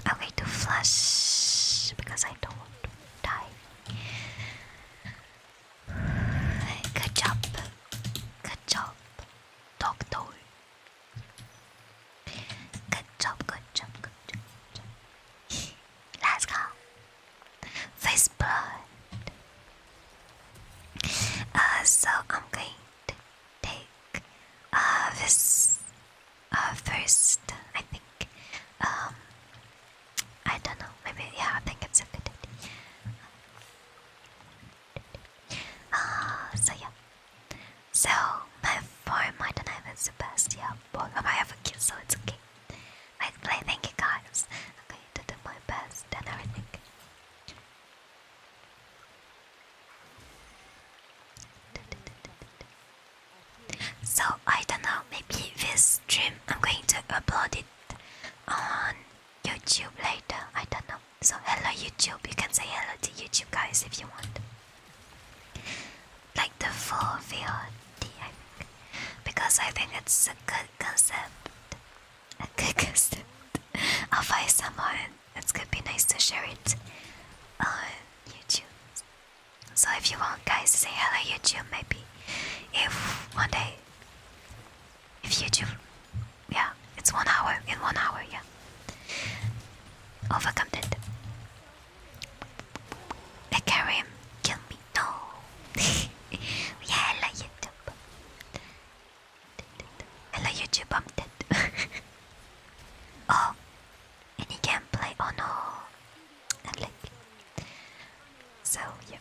Speaker 1: I'm to flush because I don't want to die. Good job. Good job, doctor. Good job, good job, good job. Let's go. Face blood. Uh, so I'm going to take uh, this uh, first, I think. Um, I don't know. Maybe yeah. I think it's a good idea. Uh, so yeah. So my form I don't have is the best. Yeah, but I have a kid, so it's okay. I, us play. Thank you guys. I'm going to do my best and everything. So I don't know. Maybe this stream I'm going to upload it on YouTube later. I don't know. So, hello YouTube. You can say hello to YouTube guys if you want. Like the full VOD, Because I think it's a good concept. A good concept. I'll find someone. It could be nice to share it on YouTube. So if you want guys to say hello YouTube maybe if one day if you do, yeah, it's one hour, in one hour, yeah. Overcome that. I carry him, kill me, no. yeah, hello YouTube. Hello YouTube, I'm dead. oh, not play. Oh no. so yeah.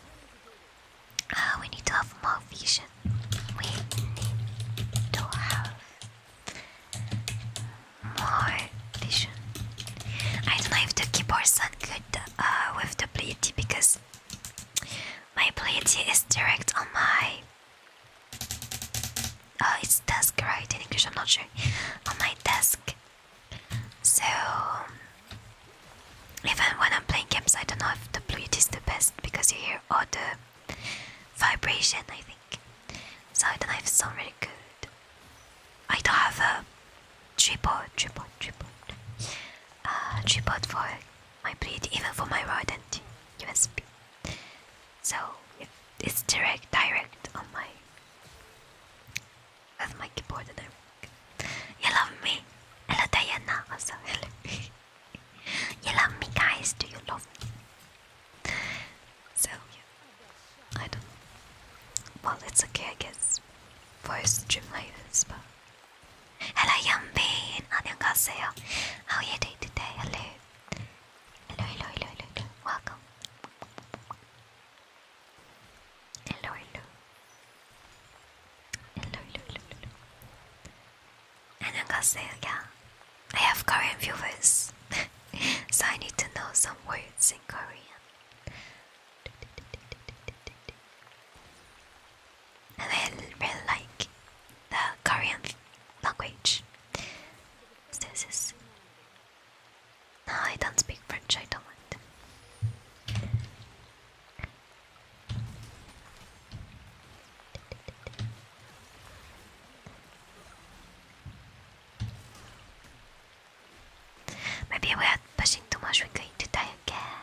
Speaker 1: Uh, we need to have more vision. We need to have more vision. I don't know if the keyboard sound good uh, with the ability because my ability is direct on my. Uh, it's desk, right? In English, I'm not sure. On my desk, so, even when I'm playing games, I don't know if the Bluetooth is the best because you hear all the vibration, I think. So, I don't know if really good. I don't have a tripod, tripod, tripod, uh, tripod for my Bluetooth, even for my rod and USB. So, it's direct, direct on my that's my keyboard i everything. You love me? Hello Diana, hello. you love me guys, do you love me? So, yeah. I don't know. Well, it's okay I guess. For a stream like this, but... Hello Yumbean, 안녕하세요. How are you doing today? Hello. Hello, hello, hello, hello, hello. Welcome. Hello, hello. Hello, hello, hello, I'm hello. say, Yeah, I have Korean viewers, so I need to know some words in Korean. I really like the Korean language. I don't speak French. I don't want. Maybe we are pushing too much, we're going to die again.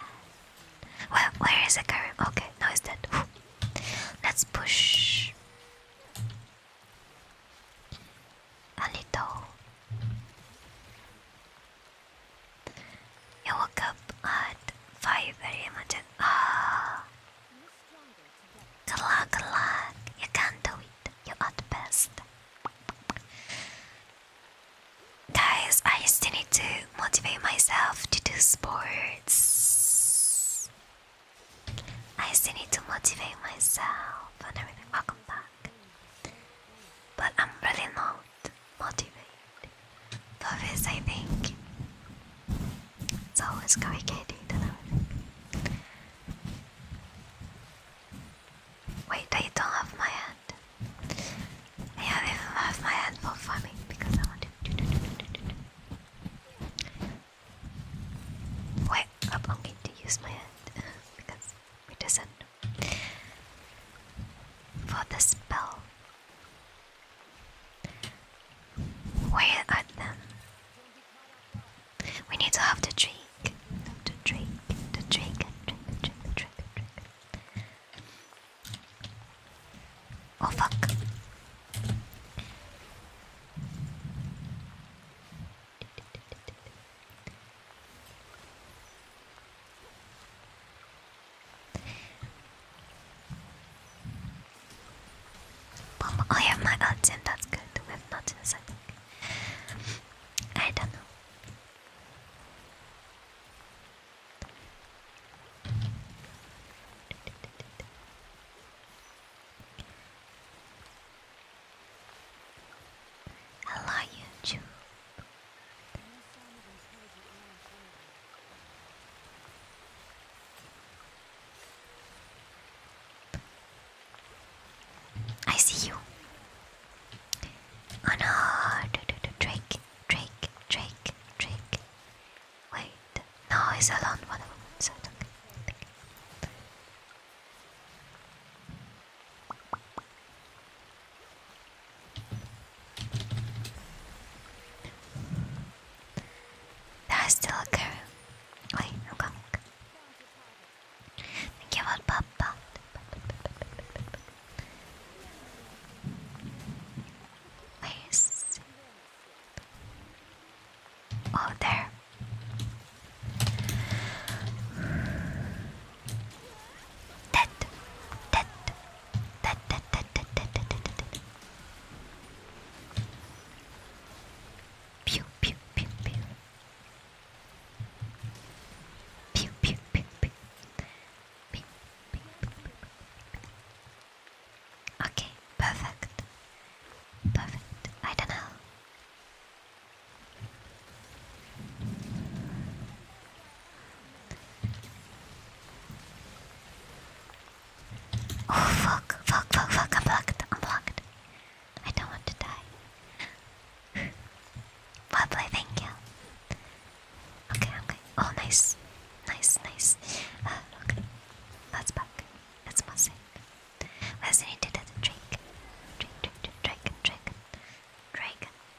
Speaker 1: Well, where is the current? Okay, now it's dead. Whew. Let's push a little. I woke up at 5 very much. Ah, good luck, good luck. You can do it. You are the best. Guys, I still need to motivate myself to do sports. I still need to motivate myself and everything. Welcome back. But I'm really not motivate. Love I think, it's always communicating to them. Wait, I don't have my hand. I don't have my hand for farming because I want to. Wait, I'm going to use my hand because it doesn't for the spell. Where are them? We need to have the drink. The drink, the drink, drink, drink, drink, drink. Oh fuck. I have my my accent, that's good. With nonsense, I think. I don't know. Hello, YouTube. I see you. Oh no, Drake, Drake, Drake, Drake. Wait, no, it's alone one there's still a girl. Wait, i Thank you for Papa. Where is? Oh, there. Tête, tête, tête, tête, tête, tête, tête, tête, tête, tête. Pew, pew, pew, pew. Pew, pew, pew, pew. Pew, pew, pew, pew. Okay, perfect. Perfect. I don't know. Oh fuck, fuck, fuck, fuck, I'm blocked, I'm I do not want to die. Wobbly, thank you. Okay, okay. Oh, nice. Nice, nice. Uh, okay. Let's back. Let's must Let's need to do the drink. Drink, drink, drink,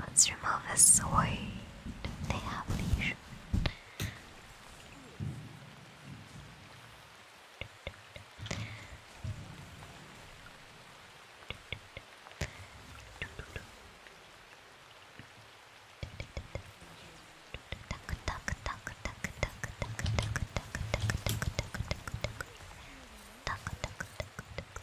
Speaker 1: Let's remove his sword. They have leash. Tuck, tuck, tuck, tuck,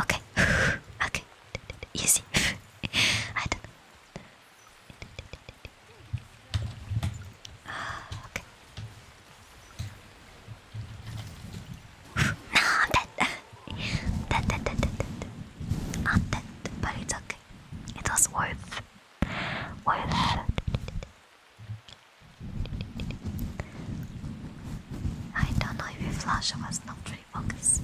Speaker 1: Okay, okay, easy. I don't know. Uh, okay. no, I'm dead. dead, dead, dead, dead, but it's okay. It was worth, worth. I don't know if you flash, I was not really focused.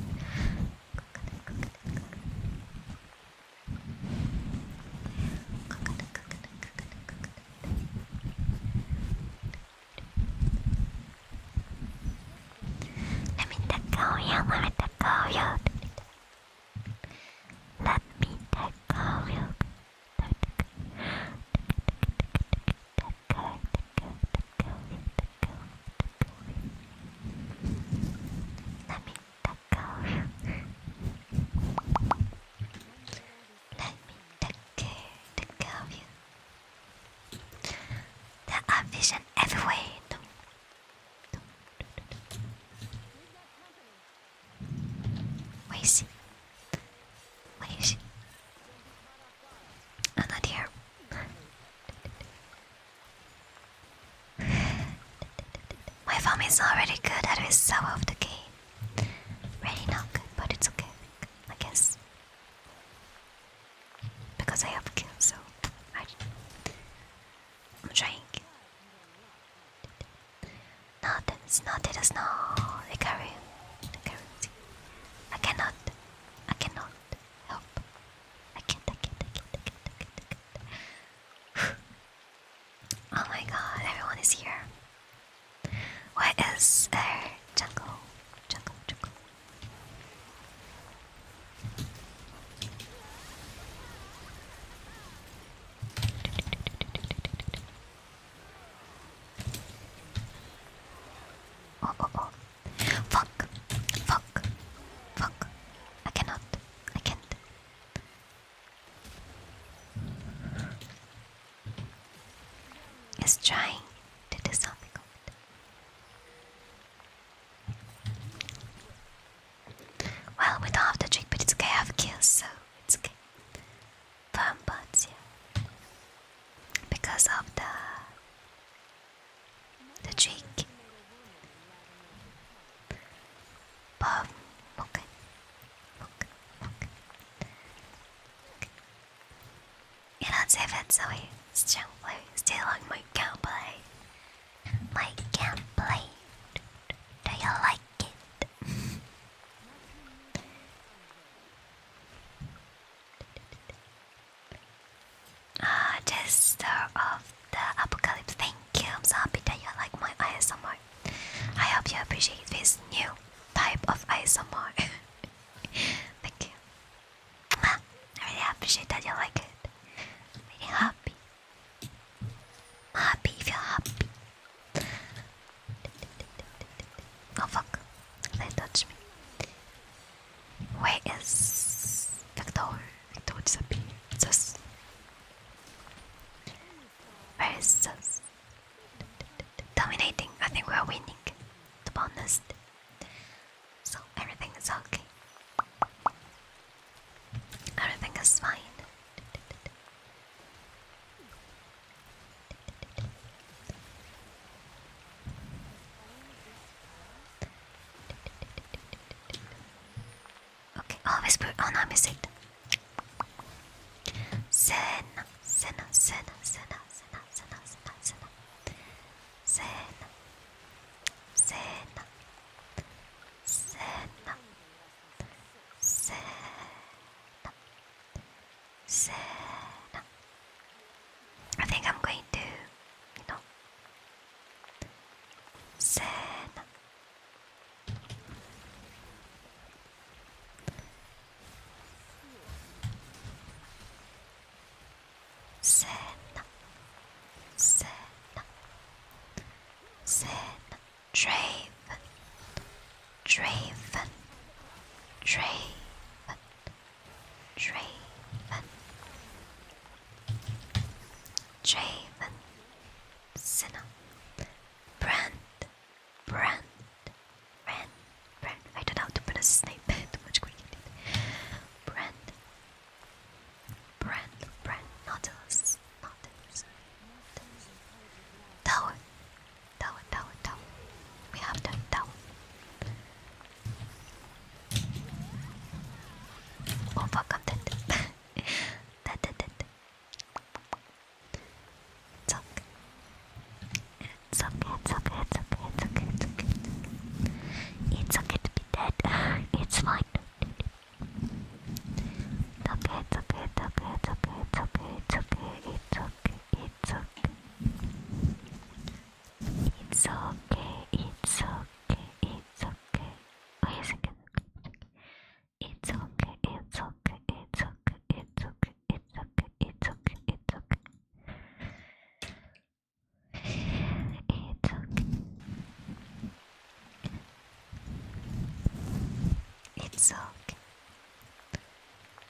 Speaker 1: Let me tackle you, let me tackle you. Let me tackle you. Let me duck off. Let me duck care, duck off you. There are vision everywhere. No. No, no, no. Where is he? Where is he? I'm not here. My farm is already good at his sour of the game. Really not good, but it's okay, I guess. Because I have a so I, am trying. No, that's not, it is not. The carry. The carry. I cannot. I cannot help. I can't, I can't, I can't, I can't, I can't, I can't. oh my god, everyone is here. Where is our jungle? Jungle, jungle. Oh, oh, oh. Fuck. Fuck. Fuck. I cannot. I can't. It's trying to do something. Well, we don't have the trick, but it's okay. I have kills, so it's okay. Firm bots, yeah. Because of the the cheek. Bob, look, look, look. You know, it's even so it's gently still on my gameplay. My gameplay. Do you like it? Just ah, Jester of the Apocalypse, thank you. I'm so happy that you like my ASMR. I hope you appreciate this new type of ASMR. thank you. Ah, I really appreciate that you like it. I'm really happy. happy if you're happy. Oh fuck, they touched me. Where is Victor? Victor disappeared. Sus. Where is Sus? Dominating. I think we are winning. To be So everything is okay. Everything is fine. Okay, always put on our music. Sena, Sena, Sena, Sena, Sena, Sena, Sena, Sena, Sena, Sena, Sena, Sena, Sin. I think I'm going to, you know, sin. Sin. Sin. Sin. Draven. Draven. Draven, Draven, Cinna, Brand, Brand, Brand, Brand. I don't know how to pronounce his too much quickly. Brand, Brand, Brand, Nautilus, Nautilus, Tower, Tower, Tower, Tower. We have done Tower. It's okay. It's okay, it's okay, to be dead. It's fine. it's okay, it's okay, it's okay, it's okay, it's okay. It's okay, it's okay, it's okay. Wait a second. It's okay, it's okay, it's okay, it's okay, it's okay, it's okay, it's okay. It's okay. It's okay.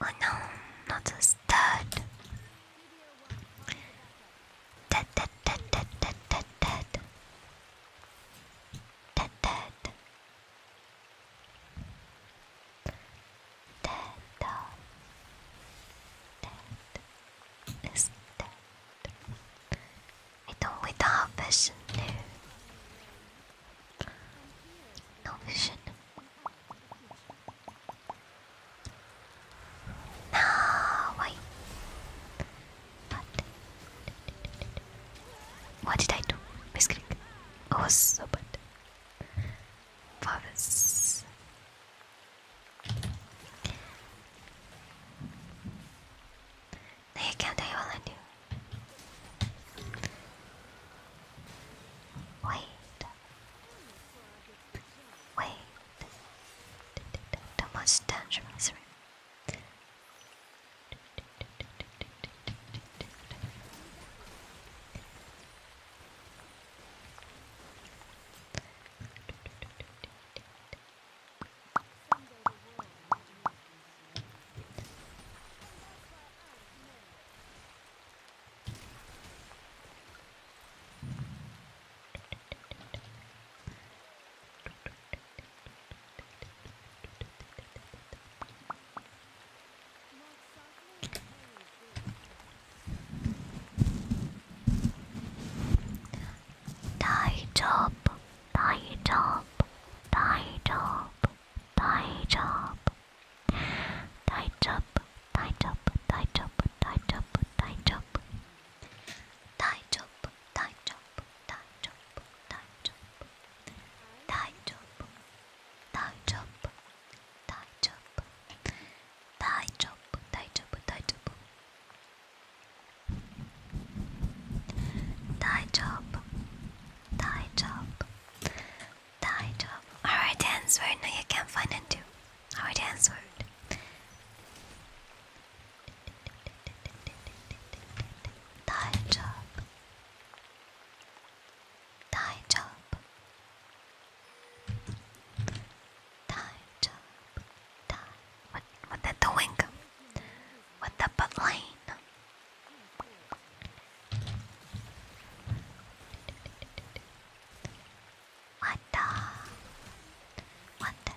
Speaker 1: Oh no, not a stud. Dead, dead, dead, dead, dead, dead, dead. Dead, dead. Dead, oh. Dead. Is dead. I don't without vision, no. No vision. No wait. what did I do? Misclick. I was so bad. Forest. can't. I will let you. Wait. Wait, too much tension 大丈夫大丈夫大丈夫大丈夫大丈夫、大丈夫。太吵！太吵！太吵！太吵！太吵！太吵！太吵！太吵！太吵！太吵！太吵！太吵！太吵！太吵！太吵！Die job. Alright answer. No, you can't find it too. Alright answer. Die job. Die job. Die job. What what the doing? What the butt what the? What the?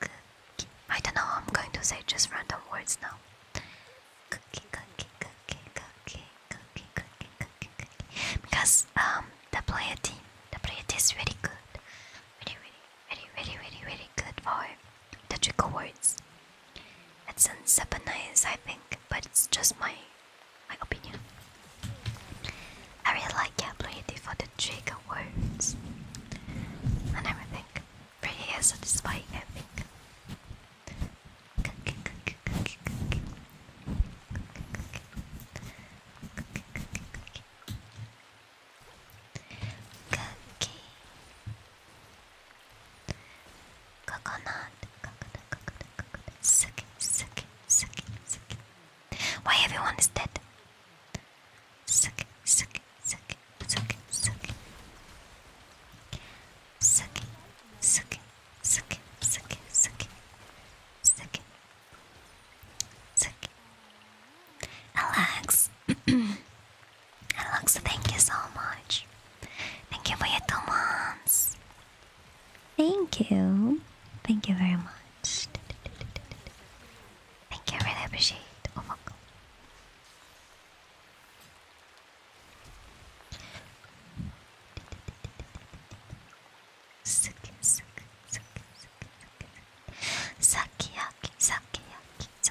Speaker 1: Cookie. I don't know, I'm going to say just random words now. Because um, the player team, the player team is really good. Really, really Really, really, really, very good for the trigger words. It's in Japanese, I think, but it's just my my opinion. I really like the ability for the trigger words and everything. Pretty satisfying, I think. Cookie. Coconut. Coconut, coconut, coconut. Suki, suki, suki, suki. Why everyone is dead? Suki, suki, suki, suki, suki. Suki, suki, suki, suki, suki. Suki. Suki. Alexa, thank you so much. Thank you for your two Thank you. Thank you very much. Thank you, I really appreciate it. Oh, welcome. Sukiyaki, sukiyaki, sukiyaki, sukiyaki, sukiyaki,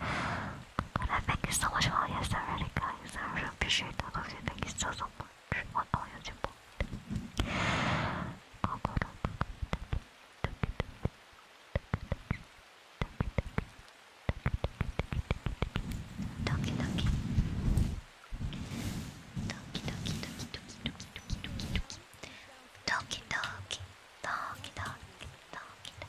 Speaker 1: God, thank you so much for all your already, guys. I really appreciate all Thank you so, so much for all your support. Go, go, go, go, Doki doki. Doki doki doki doki doki doki doki doki doki doki doki doki doki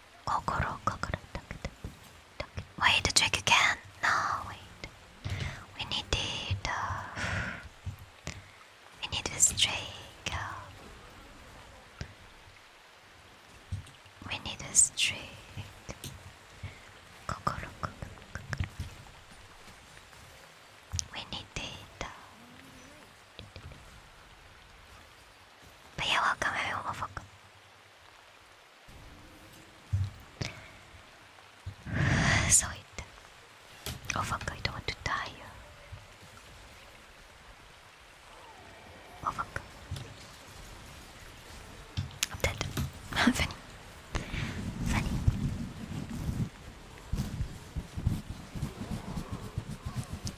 Speaker 1: Wait, the trick again. No, wait. We need the. Uh, we need this trick. we need this trick. We need data. But yeah, welcome everyone, welcome. so it. Oh fuck, I don't want to die. Oh, fuck. i Funny. Funny.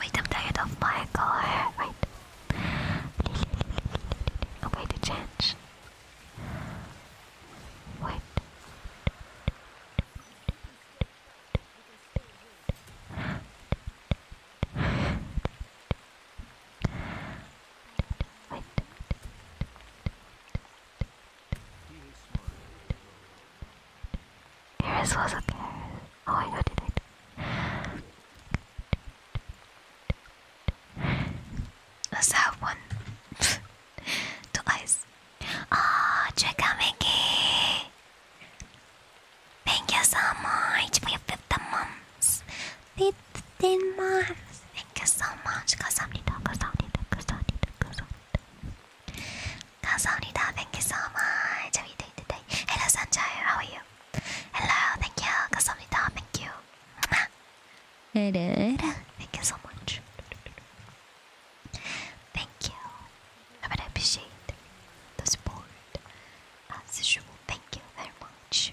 Speaker 1: Wait, I'm tired of my color. Wait I'm going to change. Wait. Wait. Eris was okay. Oh my god, did it? What's that one? Two eyes. Ah, out Mickey! Thank you so much for your 15 months. 15 months. Thank you so much. cause I'm 감사합니다. 감사합니다. Thank you so much. Hello, Sanjay. How are you? Hello. Thank you. 감사합니다. Thank you. Thank you so much. Thank you. I would appreciate the support as usual. Thank you very much.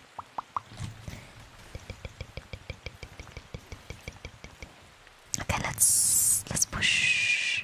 Speaker 1: Okay, let's let's push.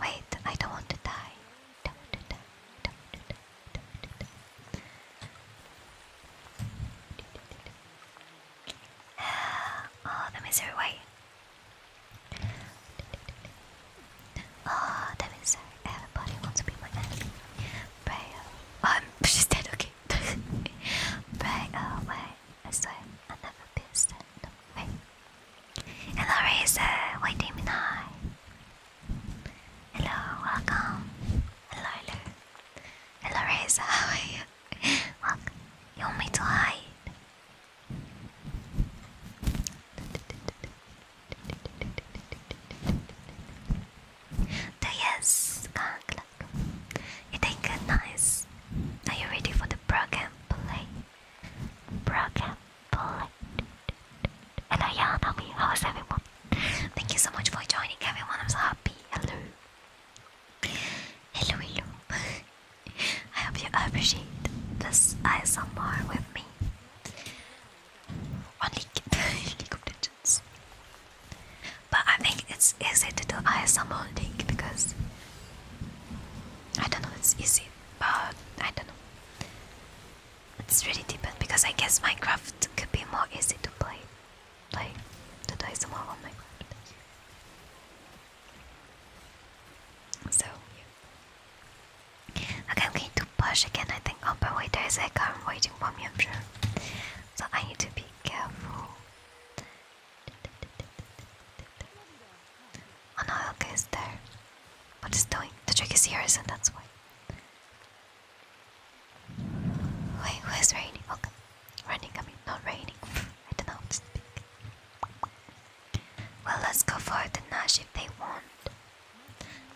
Speaker 1: Wait, I don't want to die. Oh, the misery way. Oh, the misery. Everybody wants to be my enemy. Pray. Oh, she's dead. Okay. Pray away. Oh, as though I never pierced it. Wait. Hello, Razor. Wait a minute. Hello, welcome. Hello, hello. Hello, Razor. How are you? welcome. You want me to hide? So yes, you think nice. Are you ready for the program? Bullet. Broken Bullet. Hello, yeah, Nami. How is everyone? Thank you so much for joining, everyone. I'm so happy. Hello. Hello, hello. I hope you appreciate this ASMR with me. On League of Legends. But I think it's easy to do ASMR on League because I don't know, it's easy, but I don't know. It's really different because I guess Minecraft could be more easy to play. Like, to die some more on Minecraft. So, Okay, I'm going to push again, I think. Oh, by the there is a car waiting for me, I'm sure. So I need to be careful. Oh no, Elka is there. What is doing? The trick is yours, and that's why. Wait, who is raining? Okay. Oh, Running, I mean, not raining. I don't know how to speak. Well, let's go for the Nash if they want.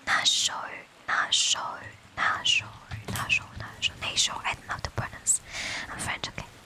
Speaker 1: Nasho, Nasho, Nasho, Nasho, Nasho, Nasho. I don't know how to pronounce. I'm French, okay.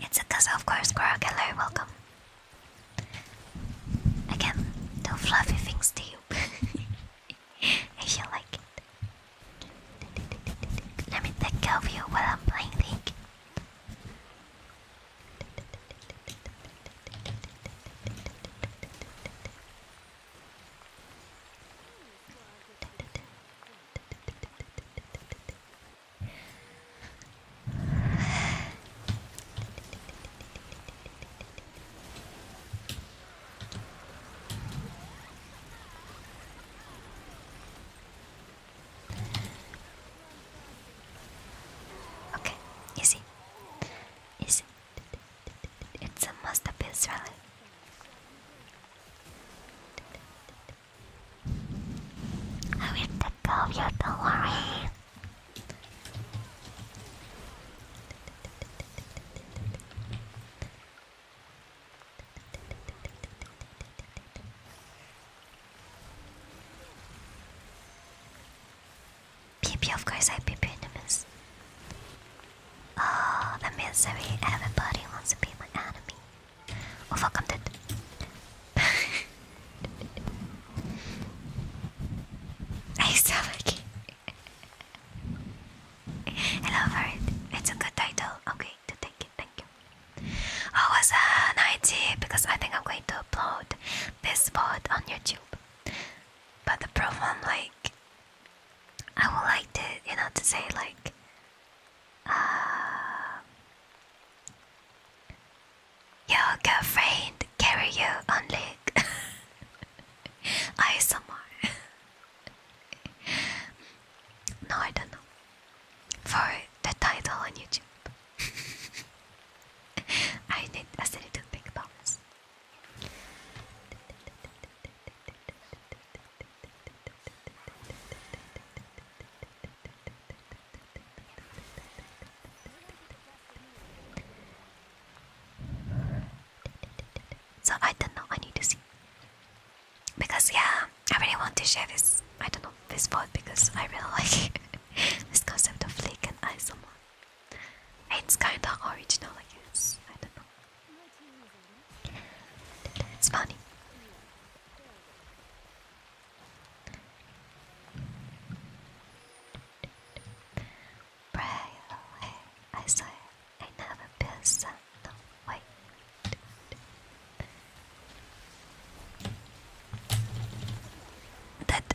Speaker 1: it's a Casa, of course, Quark. Hello, welcome. Again, no fluffy things to you. I shall like it. Let me take of you while I'm playing Okay, easy. Easy. It's a must-up Israeli. I will take care of you, don't worry. PP, of course I PP enemies. Oh, the misery. Everybody wants to be my enemy. Oh fuck, I'm dead. It's a good title. Okay, to take Thank you. I was an uh, idea because I think I'm going to upload this pod on YouTube. But the problem, like, I would like to, you know, to say like, um, your girlfriend carry you on leg. I more. no, I don't know. For the title on YouTube, I need I still a little big box. So I don't know. I need to see because yeah, I really want to share this. I don't know this vote because I really like this concept of flick and Someone, It's kind of original, I guess. I don't know. It's funny. Pray away, I swear, I never piss on the white. That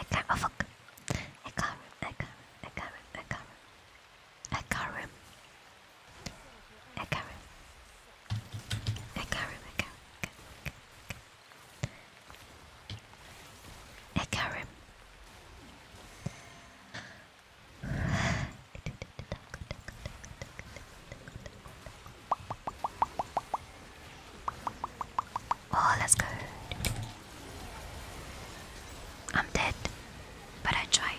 Speaker 1: I can't. Oh fuck! I got him! I got him! I got him! I got him! I got him! I got him! I got him! I got him! I got him! Oh, that's good. I'm dead, but I tried.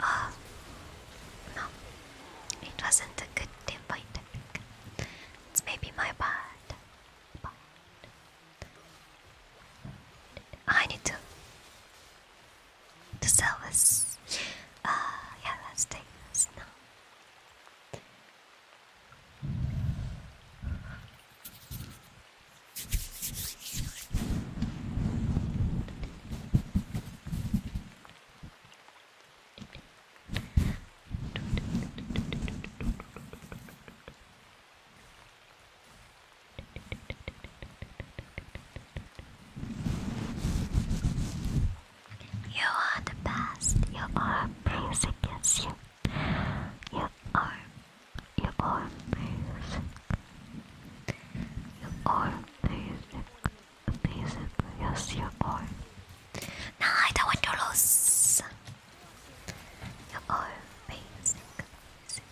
Speaker 1: Oh, no. It wasn't a good point, It's maybe my bad. I need to to sell this. Uh, yeah, let's take this now. You are the best. You are amazing. Yes, you you are, your arm music. Your arm music. Amazing. Yes, your arm. No, I don't want to lose. Your arm amazing. Amazing,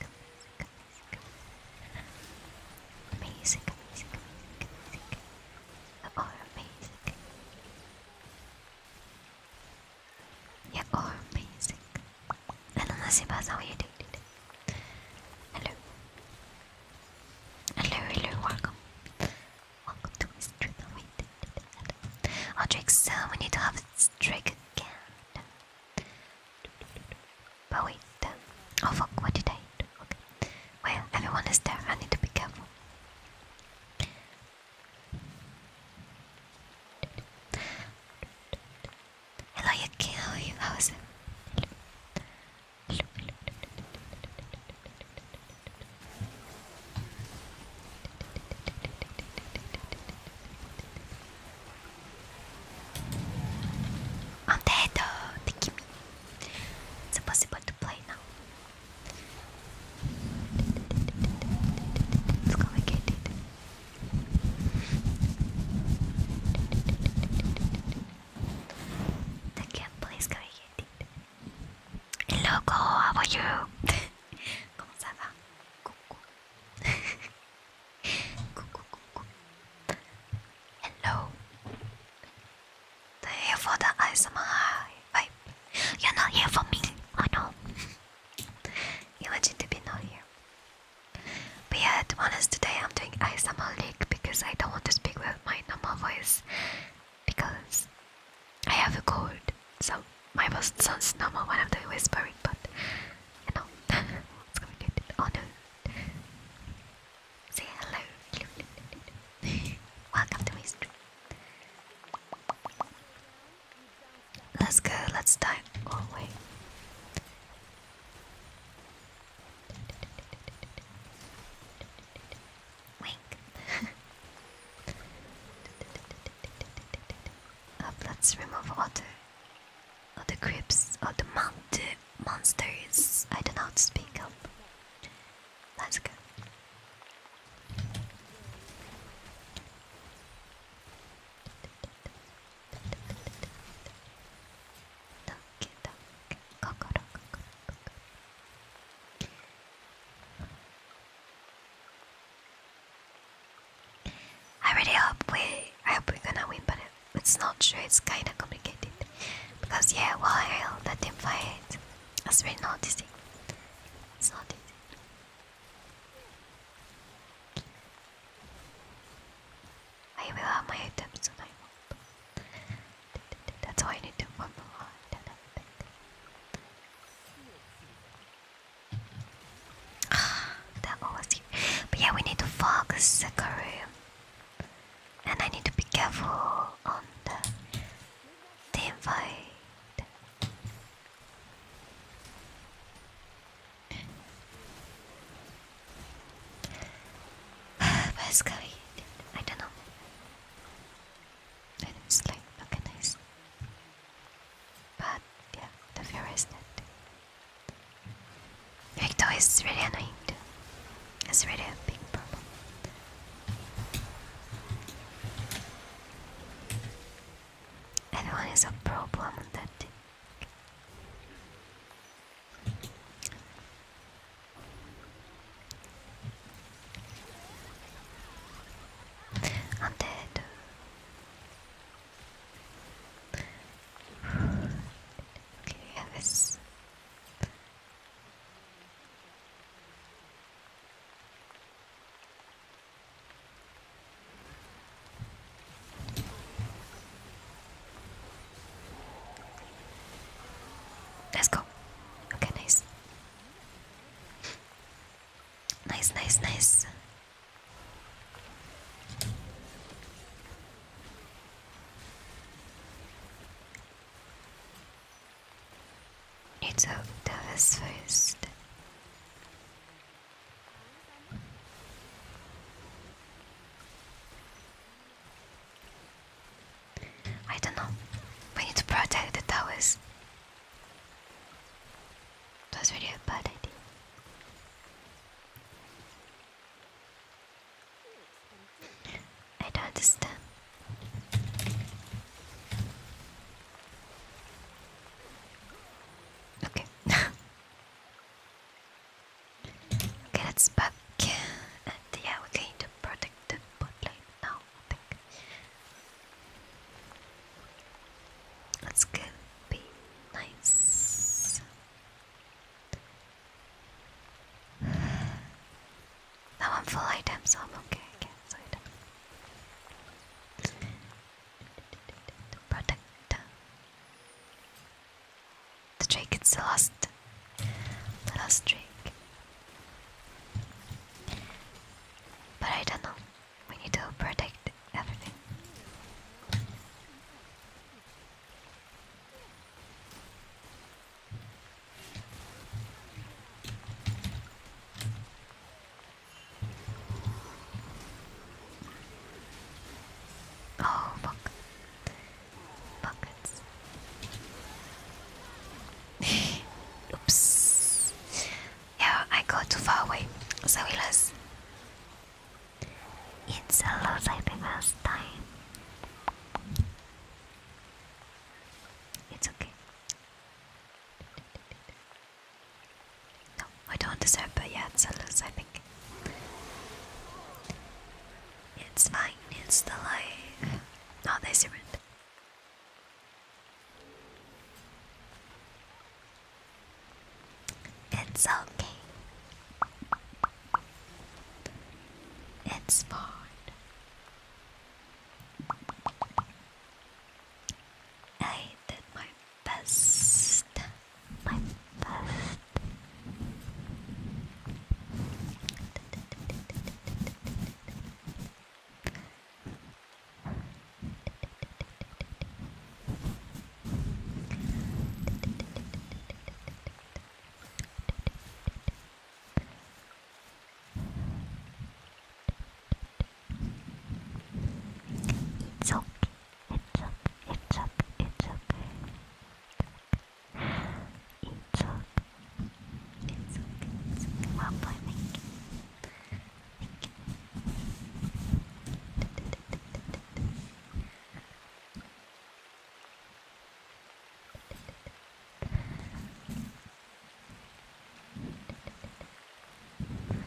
Speaker 1: amazing, amazing. Amazing, amazing, amazing, amazing. Your amazing. Yeah, or I You're amazing. Hello, Nasibas, how are you did it. Hello. Hello, hello, welcome. Welcome to his stream. I'll drink some. We need to have a drink again. But wait. Oh fuck, what did I do? Okay. Well, everyone is there. I need to be careful. Hello, Yuki. How are you? How is it? Hello. Hello, the game. oh, the Kimi. It's impossible to play now. It's complicated. The cat plays complicated. Hey, loco, how are you? Comment ça va? Coucou. coucou, coucou. Hello. They're here for the ASMR vibe. You're not here for me. I know. Imagine to be not here. But yeah, to be honest, today I'm doing ASMR leak because I don't want to speak with my normal voice because I have a cold. So my voice sounds normal when I'm doing whispering, but you know, it's gonna be good. Oh no. Say hello. Welcome to my Let's go, let's dive. Oh, wait. Wink. Up, let's remove all the, all the creeps, all the, mon the monsters. I don't speak up. Let's go. I really hope we I hope we're gonna win but it's not sure it's kinda complicated because yeah while the team fight as we're noticing it's not easy I will have my items and That's all I need to farm a lot and that was you. But yeah, we need to fog Sekiro. And I need to be careful on the team Where's I don't know. I didn't But yeah, the fear is dead. Victor is really annoying It's really a big problem and one is a problem that I'm dead. okay, yeah, Let's go. Okay, nice. Nice, nice, nice. Need to do first. I don't know. We need to protect the towers. That was really a bad idea. I don't understand. Okay. okay, that's back. And yeah, we're going to protect the bot now, I think. That's gonna be nice. Now I'm full item, I'm okay, I guess. Protect. The trick It's The last trick. But I don't know. We need to protect everything. Oh, fuck. Buckets. Oops. Yeah, I got too far away. So we lost. It's a lot like the last time. It's okay. No, I don't deserve but yeah, it's a loss, I think. It's fine, it's the life. No, they surrendered. It's okay. It's fine. I did my best, my best. It's okay. It's okay. It's okay. It's okay. It's okay. It's okay. It's okay. Well boy, thank you. Thank you.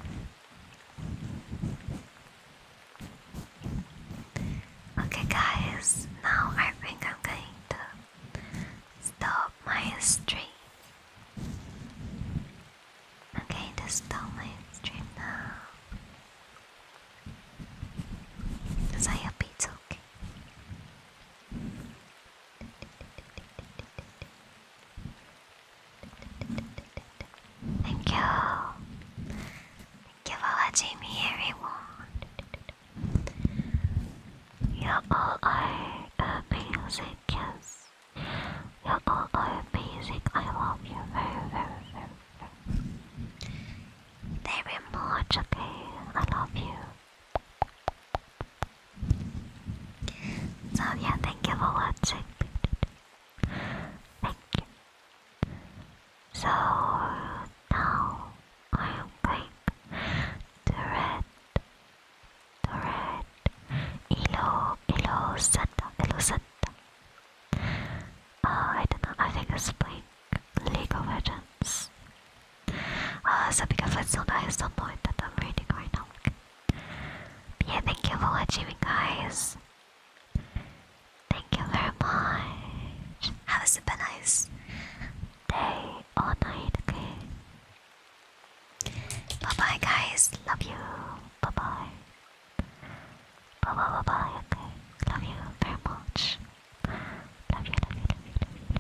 Speaker 1: Okay, guys, now I think I'm going to stop my stream. Okay, am going to stop my stream now. Because I hope it's okay. Thank you. Thank you for watching me, everyone. You all are amazing, yes. You all are amazing. I love you very, very, very, very, very much, okay? I love you. So yeah, thank you for watching. Thank you. So now I'm going to read the red Elo Elo Santa Elo Santa. Uh, I don't know, I think it's playing League of Legends. Uh, so because it's so nice, don't that I'm reading right now yeah, thank you for watching guys. Thank you very much. Have a super nice day or night, okay? Bye bye guys, love you. Bye bye. Bye bye bye bye, okay? Love you very much. love you, love you, love you.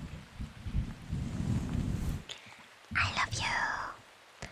Speaker 1: I love you.